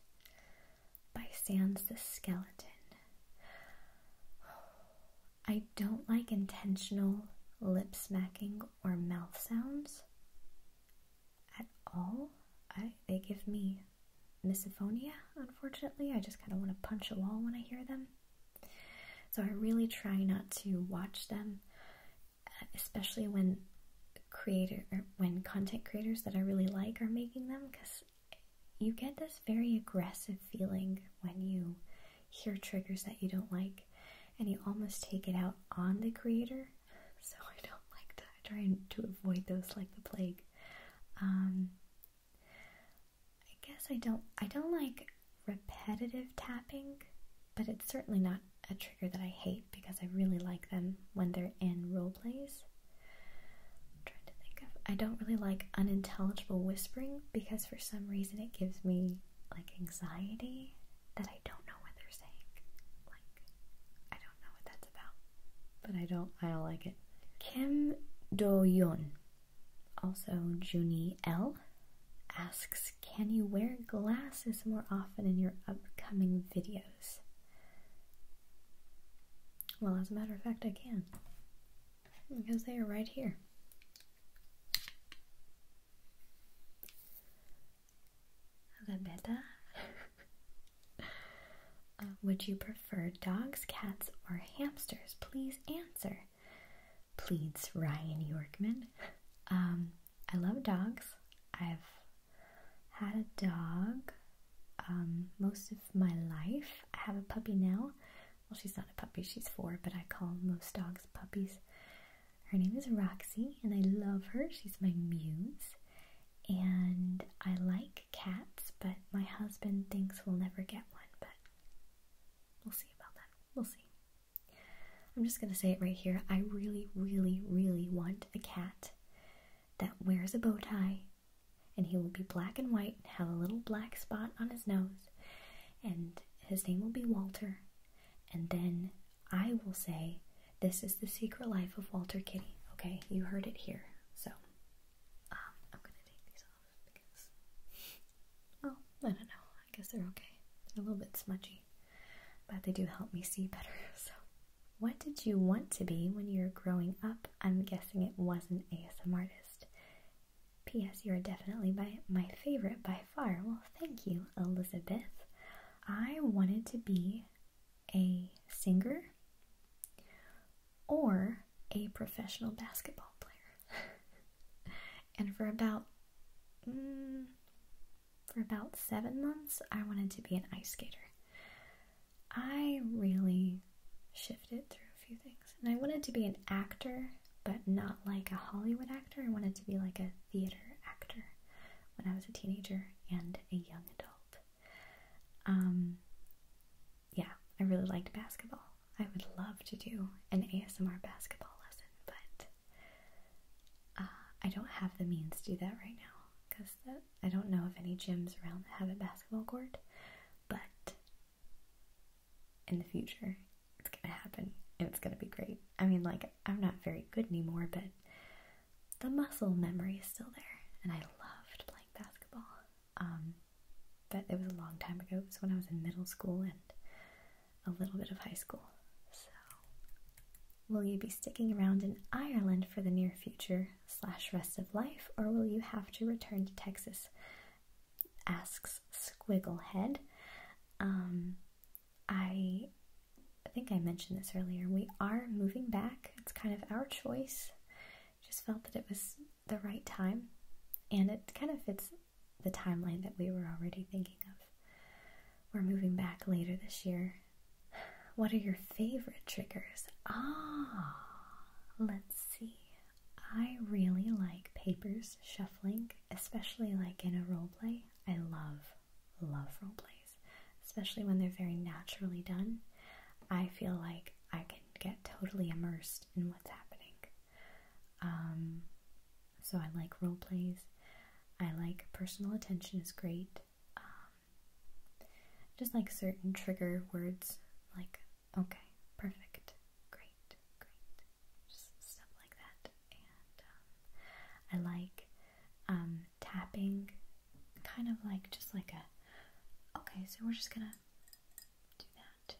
By Sans the Skeleton. I don't like intentional lip smacking or mouth sounds at all. I, they give me misophonia, unfortunately. I just kind of want to punch a wall when I hear them. So I really try not to watch them, especially when creator when content creators that I really like are making them because you get this very aggressive feeling when you hear triggers that you don't like and you almost take it out on the creator. So I don't like that. Trying to avoid those like the plague. Um, I guess I don't I don't like repetitive tapping, but it's certainly not a trigger that I hate because I really like them when they're in role plays. i trying to think of I don't really like unintelligible whispering because for some reason it gives me like anxiety that I don't know what they're saying. Like I don't know what that's about. But I don't I don't like it. Kim Do Yoon, also Junie L, asks can you wear glasses more often in your upcoming videos? Well, as a matter of fact, I can. Because they are right here. Rebeta. (laughs) uh, would you prefer dogs, cats, or hamsters? Please answer pleads Ryan Yorkman. Um, I love dogs. I've had a dog um, most of my life. I have a puppy now. Well, she's not a puppy, she's four, but I call most dogs puppies. Her name is Roxy, and I love her. She's my muse. And I like cats, but my husband thinks we'll never get one, but we'll see about that. We'll see. I'm just going to say it right here. I really, really, really want a cat that wears a bow tie and he will be black and white and have a little black spot on his nose and his name will be Walter. And then I will say, This is the secret life of Walter Kitty. Okay, you heard it here. So um, I'm going to take these off because, well, I don't know. I guess they're okay. They're a little bit smudgy, but they do help me see better. (laughs) So, what did you want to be when you were growing up? I'm guessing it was an ASM artist. P.S. You are definitely by my favorite by far. Well, thank you, Elizabeth. I wanted to be a singer or a professional basketball player. (laughs) and for about Mm, for about seven months, I wanted to be an ice skater. I really shifted through a few things. And I wanted to be an actor, but not like a Hollywood actor. I wanted to be like a theater actor when I was a teenager and a young adult. Um, yeah, I really liked basketball. I would love to do an ASMR basketball lesson, but uh, I don't have the means to do that right now because I don't know if any gyms around have a basketball court, but in the future, it's gonna happen and it's gonna be great. I mean, like, I'm not very good anymore, but the muscle memory is still there, and I loved playing basketball. Um, but it was a long time ago, it was when I was in middle school, and a little bit of high school. So, will you be sticking around in Ireland for the near future slash rest of life, or will you have to return to Texas? Asks Squigglehead. Um, I think I mentioned this earlier. We are moving back. It's kind of our choice. Just felt that it was the right time, and it kind of fits the timeline that we were already thinking of. We're moving back later this year. What are your favorite triggers? Ah, let's see. I really like papers shuffling, especially like in a role play. I love, love role plays, especially when they're very naturally done. I feel like I can get totally immersed in what's happening. Um, so I like role plays. I like personal attention is great. Um, just like certain trigger words, like okay, perfect, great, great, just stuff like that. And um, I like um, tapping, kind of like just like a okay. So we're just gonna do that,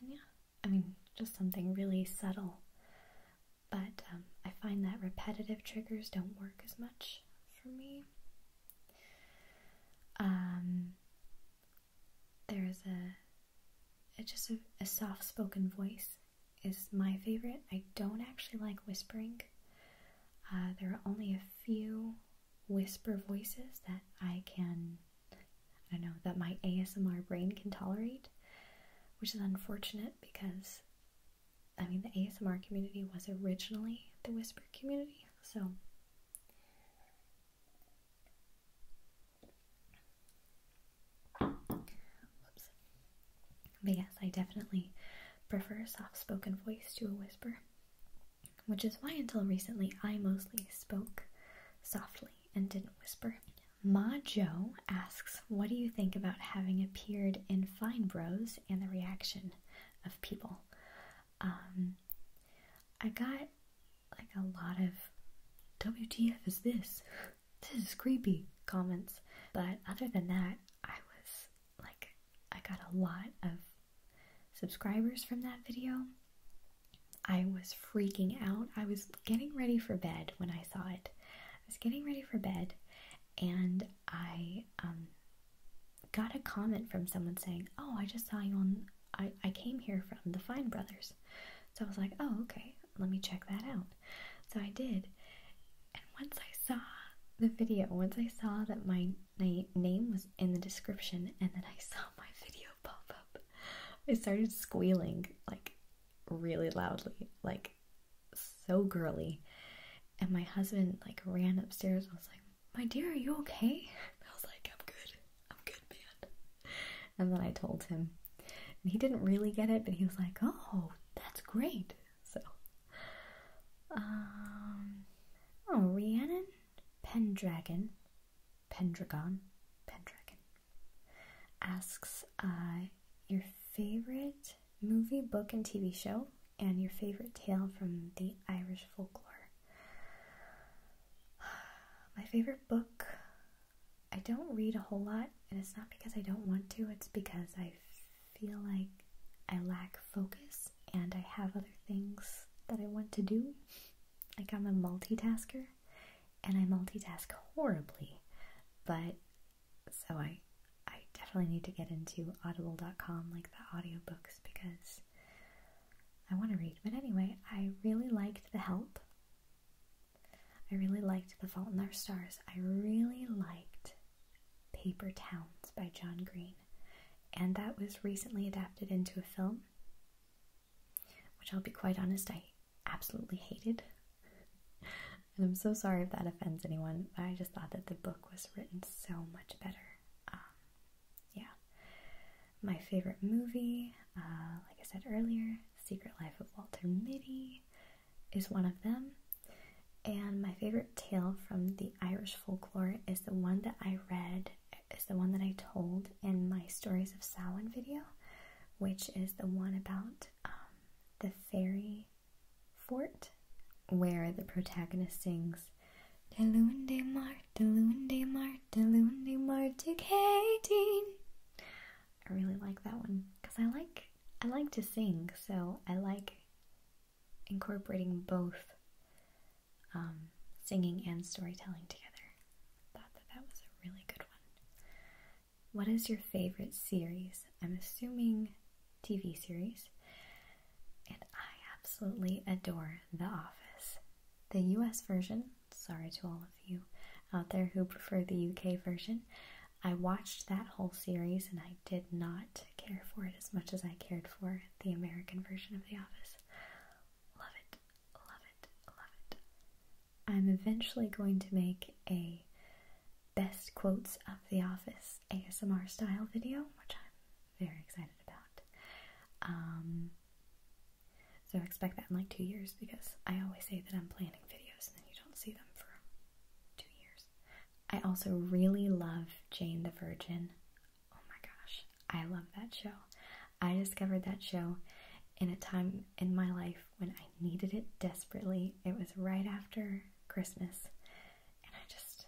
and uh, yeah. I mean, just something really subtle. But um, I find that repetitive triggers don't work as much for me. Um, there is a, a just a, soft-spoken voice is my favorite. I don't actually like whispering. Uh, there are only a few whisper voices that I can, I don't know, that my ASMR brain can tolerate which is unfortunate because I mean the ASMR community was originally the whisper community, so But yes, I definitely prefer a soft spoken voice to a whisper, which is why until recently I mostly spoke softly and didn't whisper. Ma Jo asks, What do you think about having appeared in Fine Bros and the reaction of people? Um, I got like a lot of WTF is this? This is creepy comments. But other than that, I was like, I got a lot of subscribers from that video. I was freaking out. I was getting ready for bed when I saw it. I was getting ready for bed and I um, got a comment from someone saying, Oh, I just saw you on, I, I came here from the Fine Brothers. So I was like, oh, okay, let me check that out. So I did. And once I saw the video, once I saw that my na name was in the description and then I saw my (laughs) video pop up, I started squealing like really loudly, like so girly. And my husband like ran upstairs. I was like, "My dear, are you okay?" (laughs) I was like, "I'm good. I'm good, man." And then I told him, and he didn't really get it, but he was like, "Oh, that's great." So, um, oh, Rhiannon Pendragon, Pendragon, Pendragon asks uh, your favorite movie, book, and TV show, and your favorite tale from the Irish folklore. (sighs) My favorite book, I don't read a whole lot, and it's not because I don't want to, it's because I feel like I lack focus and I have other things that I want to do. Like I'm a multitasker, and I multitask horribly, but so I I definitely need to get into audible.com like the audiobooks because I want to read. But anyway, I really liked The Help. I really liked The Fault in Our Stars. I really liked Paper Towns by John Green. And that was recently adapted into a film, which I'll be quite honest, I absolutely hated. (laughs) and I'm so sorry if that offends anyone, but I just thought that the book was written so much better. Um, yeah. My favorite movie, uh, like I said earlier, Secret Life of Walter Mitty is one of them. And my favorite tale from the Irish folklore is the one that I read, is the one that I told in my Stories of Samhain video, which is the one about um, the fairy fort where the protagonist sings De Lunde Mar, De Lunde Mar, De Lunde Mar to Katie. I really like that one because I like I like to sing, so I like incorporating both um, singing and storytelling together. thought that that was a really good one. What is your favorite series? I'm assuming TV series. And I absolutely adore The Office. The US version, sorry to all of you out there who prefer the UK version. I watched that whole series and I did not care for it as much as I cared for the American version of The Office. Love it, love it, love it. I'm eventually going to make a best quotes of The Office ASMR style video, which I'm very excited about. Um, so expect that in like two years because I always say that I'm planning videos and then you don't see them for two years. I also really love Jane the Virgin. Oh my gosh, I love that show. I discovered that show in a time in my life when I needed it desperately. It was right after Christmas, and I just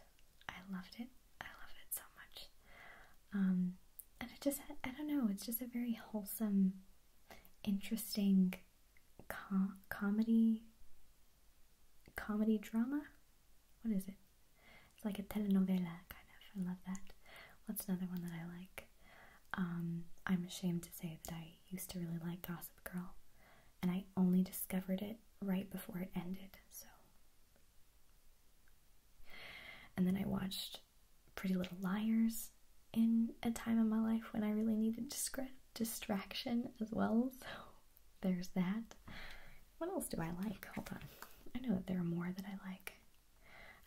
I loved it. I loved it so much. Um, and it just I don't know. It's just a very wholesome, interesting comedy comedy drama. What is it? It's like a telenovela kind of. I love that. What's another one that I like? Um, I'm ashamed to say that I used to really like Gossip Girl, and I only discovered it right before it ended, so. And then I watched Pretty Little Liars in a time in my life when I really needed distraction as well, (laughs) so there's that. What else do I like? Hold on. I know that there are more that I like.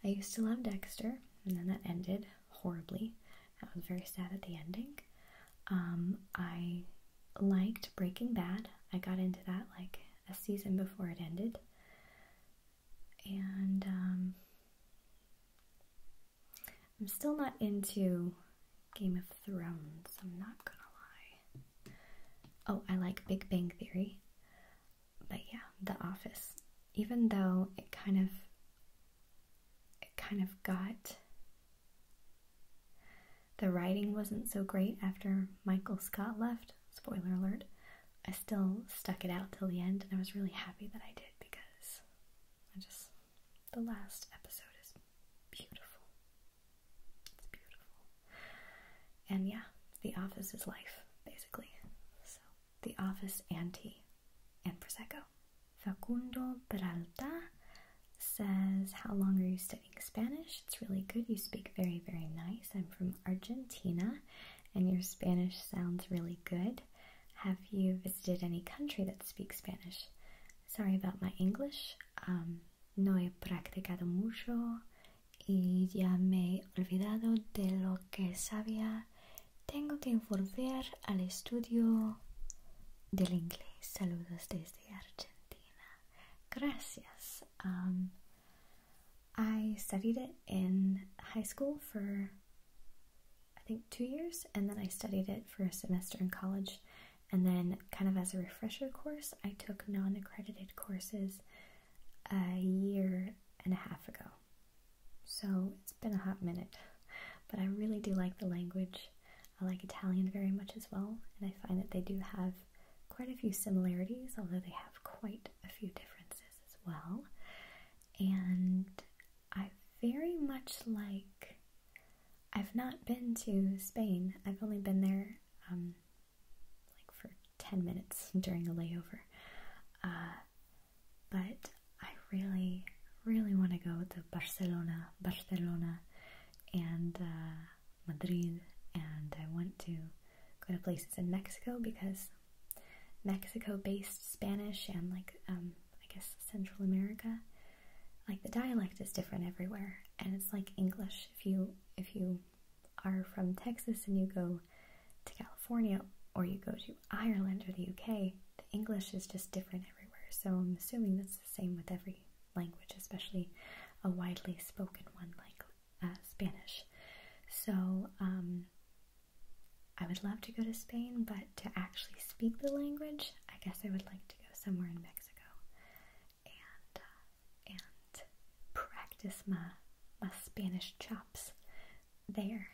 I used to love Dexter, and then that ended horribly. I was very sad at the ending. Um, I liked Breaking Bad. I got into that like a season before it ended. And um, I'm still not into Game of Thrones, I'm not gonna lie. Oh, I like Big Bang Theory. But yeah, The Office. Even though it kind of it kind of got. The writing wasn't so great after Michael Scott left. Spoiler alert. I still stuck it out till the end, and I was really happy that I did because just. The last episode is beautiful. It's beautiful. And yeah, The Office is life, basically. So, The Office and tea and Prosecco. Facundo Peralta says, How long are you studying Spanish? It's really good. You speak very, very nice. I'm from Argentina and your Spanish sounds really good. Have you visited any country that speaks Spanish? Sorry about my English. Um, no he practicado mucho y ya me he olvidado de lo que sabía Tengo que volver al estudio del inglés. Saludos desde Argentina. Gracias. Um, I studied it in high school for I think two years, and then I studied it for a semester in college. And then, kind of as a refresher course, I took non accredited courses a year and a half ago. So it's been a hot minute, but I really do like the language. I like Italian very much as well, and I find that they do have quite a few similarities, although they have quite a few differences as well. And I very much like, I've not been to Spain, I've only been there um, like for 10 minutes (laughs) during a layover. Uh, but I really, really want to go to Barcelona, Barcelona, and uh, Madrid, and I want to go to places in Mexico because Mexico-based Spanish and like um, I guess Central America, like the dialect is different everywhere, and it's like English. If you if you are from Texas and you go to California or you go to Ireland or the UK, the English is just different so I'm assuming that's the same with every language, especially a widely spoken one like uh, Spanish. So um, I would love to go to Spain, but to actually speak the language, I guess I would like to go somewhere in Mexico and uh, and practice my my Spanish chops there.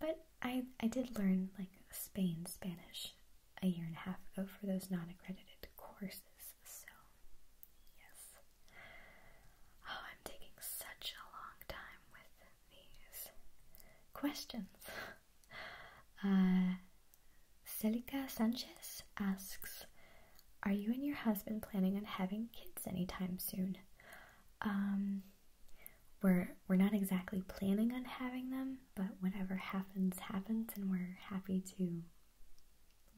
But I I did learn like Spain Spanish a year and a half ago for those non-accredited courses. So yes. Oh, I'm taking such a long time with these questions. (laughs) Uh, Celica Sanchez asks, "Are you and your husband planning on having kids anytime soon?" Um, we're we're not exactly planning on having them, but whatever happens happens, and we're happy to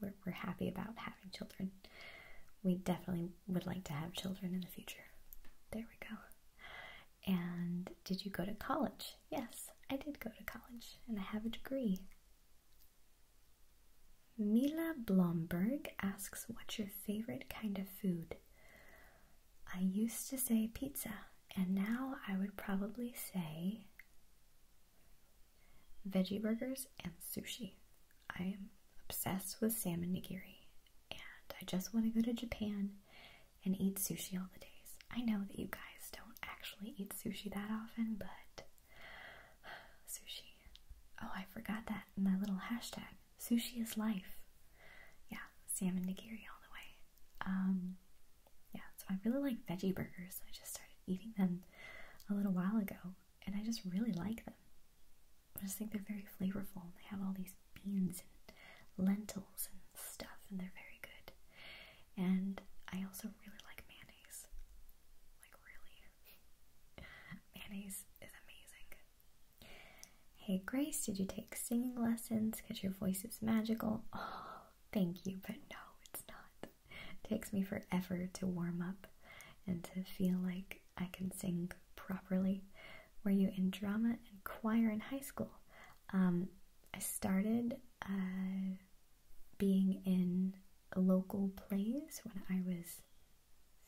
we're, we're happy about having children. We definitely would like to have children in the future. There we go. And did you go to college? Yes, I did go to college, and I have a degree. Mila Blomberg asks, What's your favorite kind of food? I used to say pizza, and now I would probably say veggie burgers and sushi. I am obsessed with salmon nigiri, and I just want to go to Japan and eat sushi all the days. I know that you guys don't actually eat sushi that often, but (sighs) sushi. Oh, I forgot that in my little hashtag. Sushi is life. Yeah, salmon nigiri all the way. Um, yeah, so I really like veggie burgers. I just started eating them a little while ago, and I just really like them. I just think they're very flavorful. And they have all these beans and lentils and stuff, and they're very good. And I also really like mayonnaise. Like, really. (laughs) mayonnaise is amazing. Hey Grace, did you take singing lessons? Because your voice is magical. Oh, thank you, but no, it's not. It takes me forever to warm up and to feel like I can sing properly. Were you in drama and choir in high school? Um, I started uh, being in local plays when I was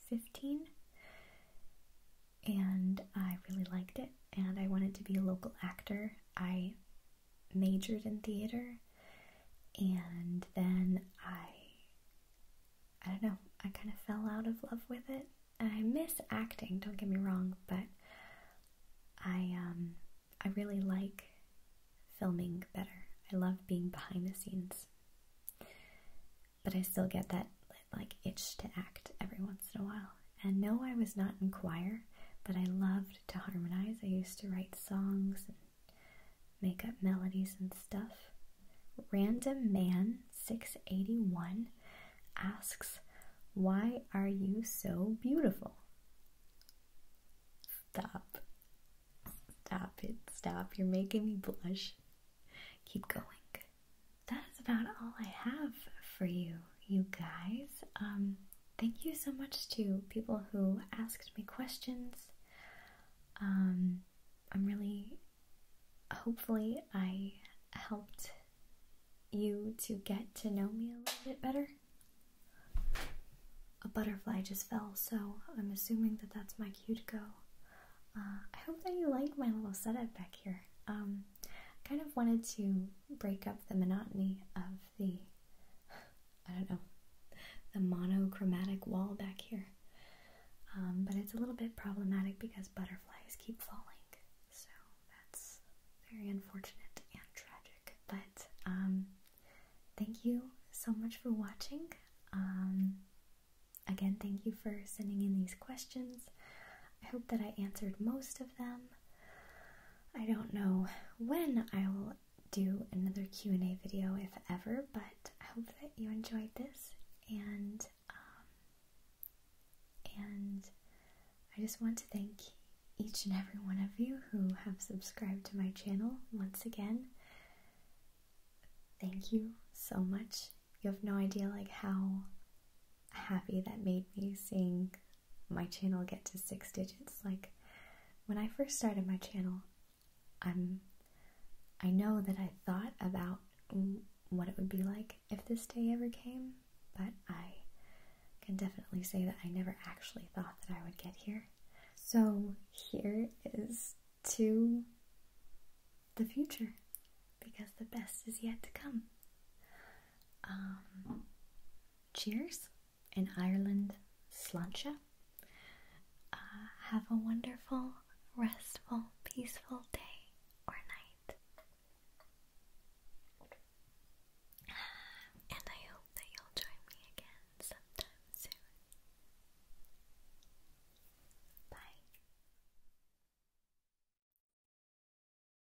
15 and I really liked it and I wanted to be a local actor. I majored in theater and then I I don't know, I kind of fell out of love with it. And I miss acting, don't get me wrong, but I um I really like filming better. I love being behind the scenes. But I still get that like itch to act every once in a while and no, I was not in choir, but I loved to harmonize. I used to write songs and make up melodies and stuff. Random Man 681 asks, Why are you so beautiful? Stop. Stop it. Stop. You're making me blush. Keep going that is about all I have for you, you guys. Um, thank you so much to people who asked me questions. Um, I'm really, hopefully, I helped you to get to know me a little bit better. A butterfly just fell, so I'm assuming that that's my cue to go. Uh, I hope that you liked my little setup back here. Um, I kind of wanted to break up the monotony of the, I don't know, the monochromatic wall back here. Um, but it's a little bit problematic because butterflies keep falling. So that's very unfortunate and tragic. But um, thank you so much for watching. Um, again, thank you for sending in these questions. I hope that I answered most of them. I don't know when I will do another Q&A video, if ever, but I hope that you enjoyed this, and, um, and I just want to thank each and every one of you who have subscribed to my channel once again. Thank you so much. You have no idea, like, how happy that made me seeing my channel get to six digits. Like when I first started my channel, I'm I know that I thought about what it would be like if this day ever came, but I can definitely say that I never actually thought that I would get here. So here is to the future because the best is yet to come. Um, cheers in Ireland, slancha. Uh, have a wonderful, restful, peaceful day or night. (sighs) And I hope that you'll join me again sometime soon. Bye.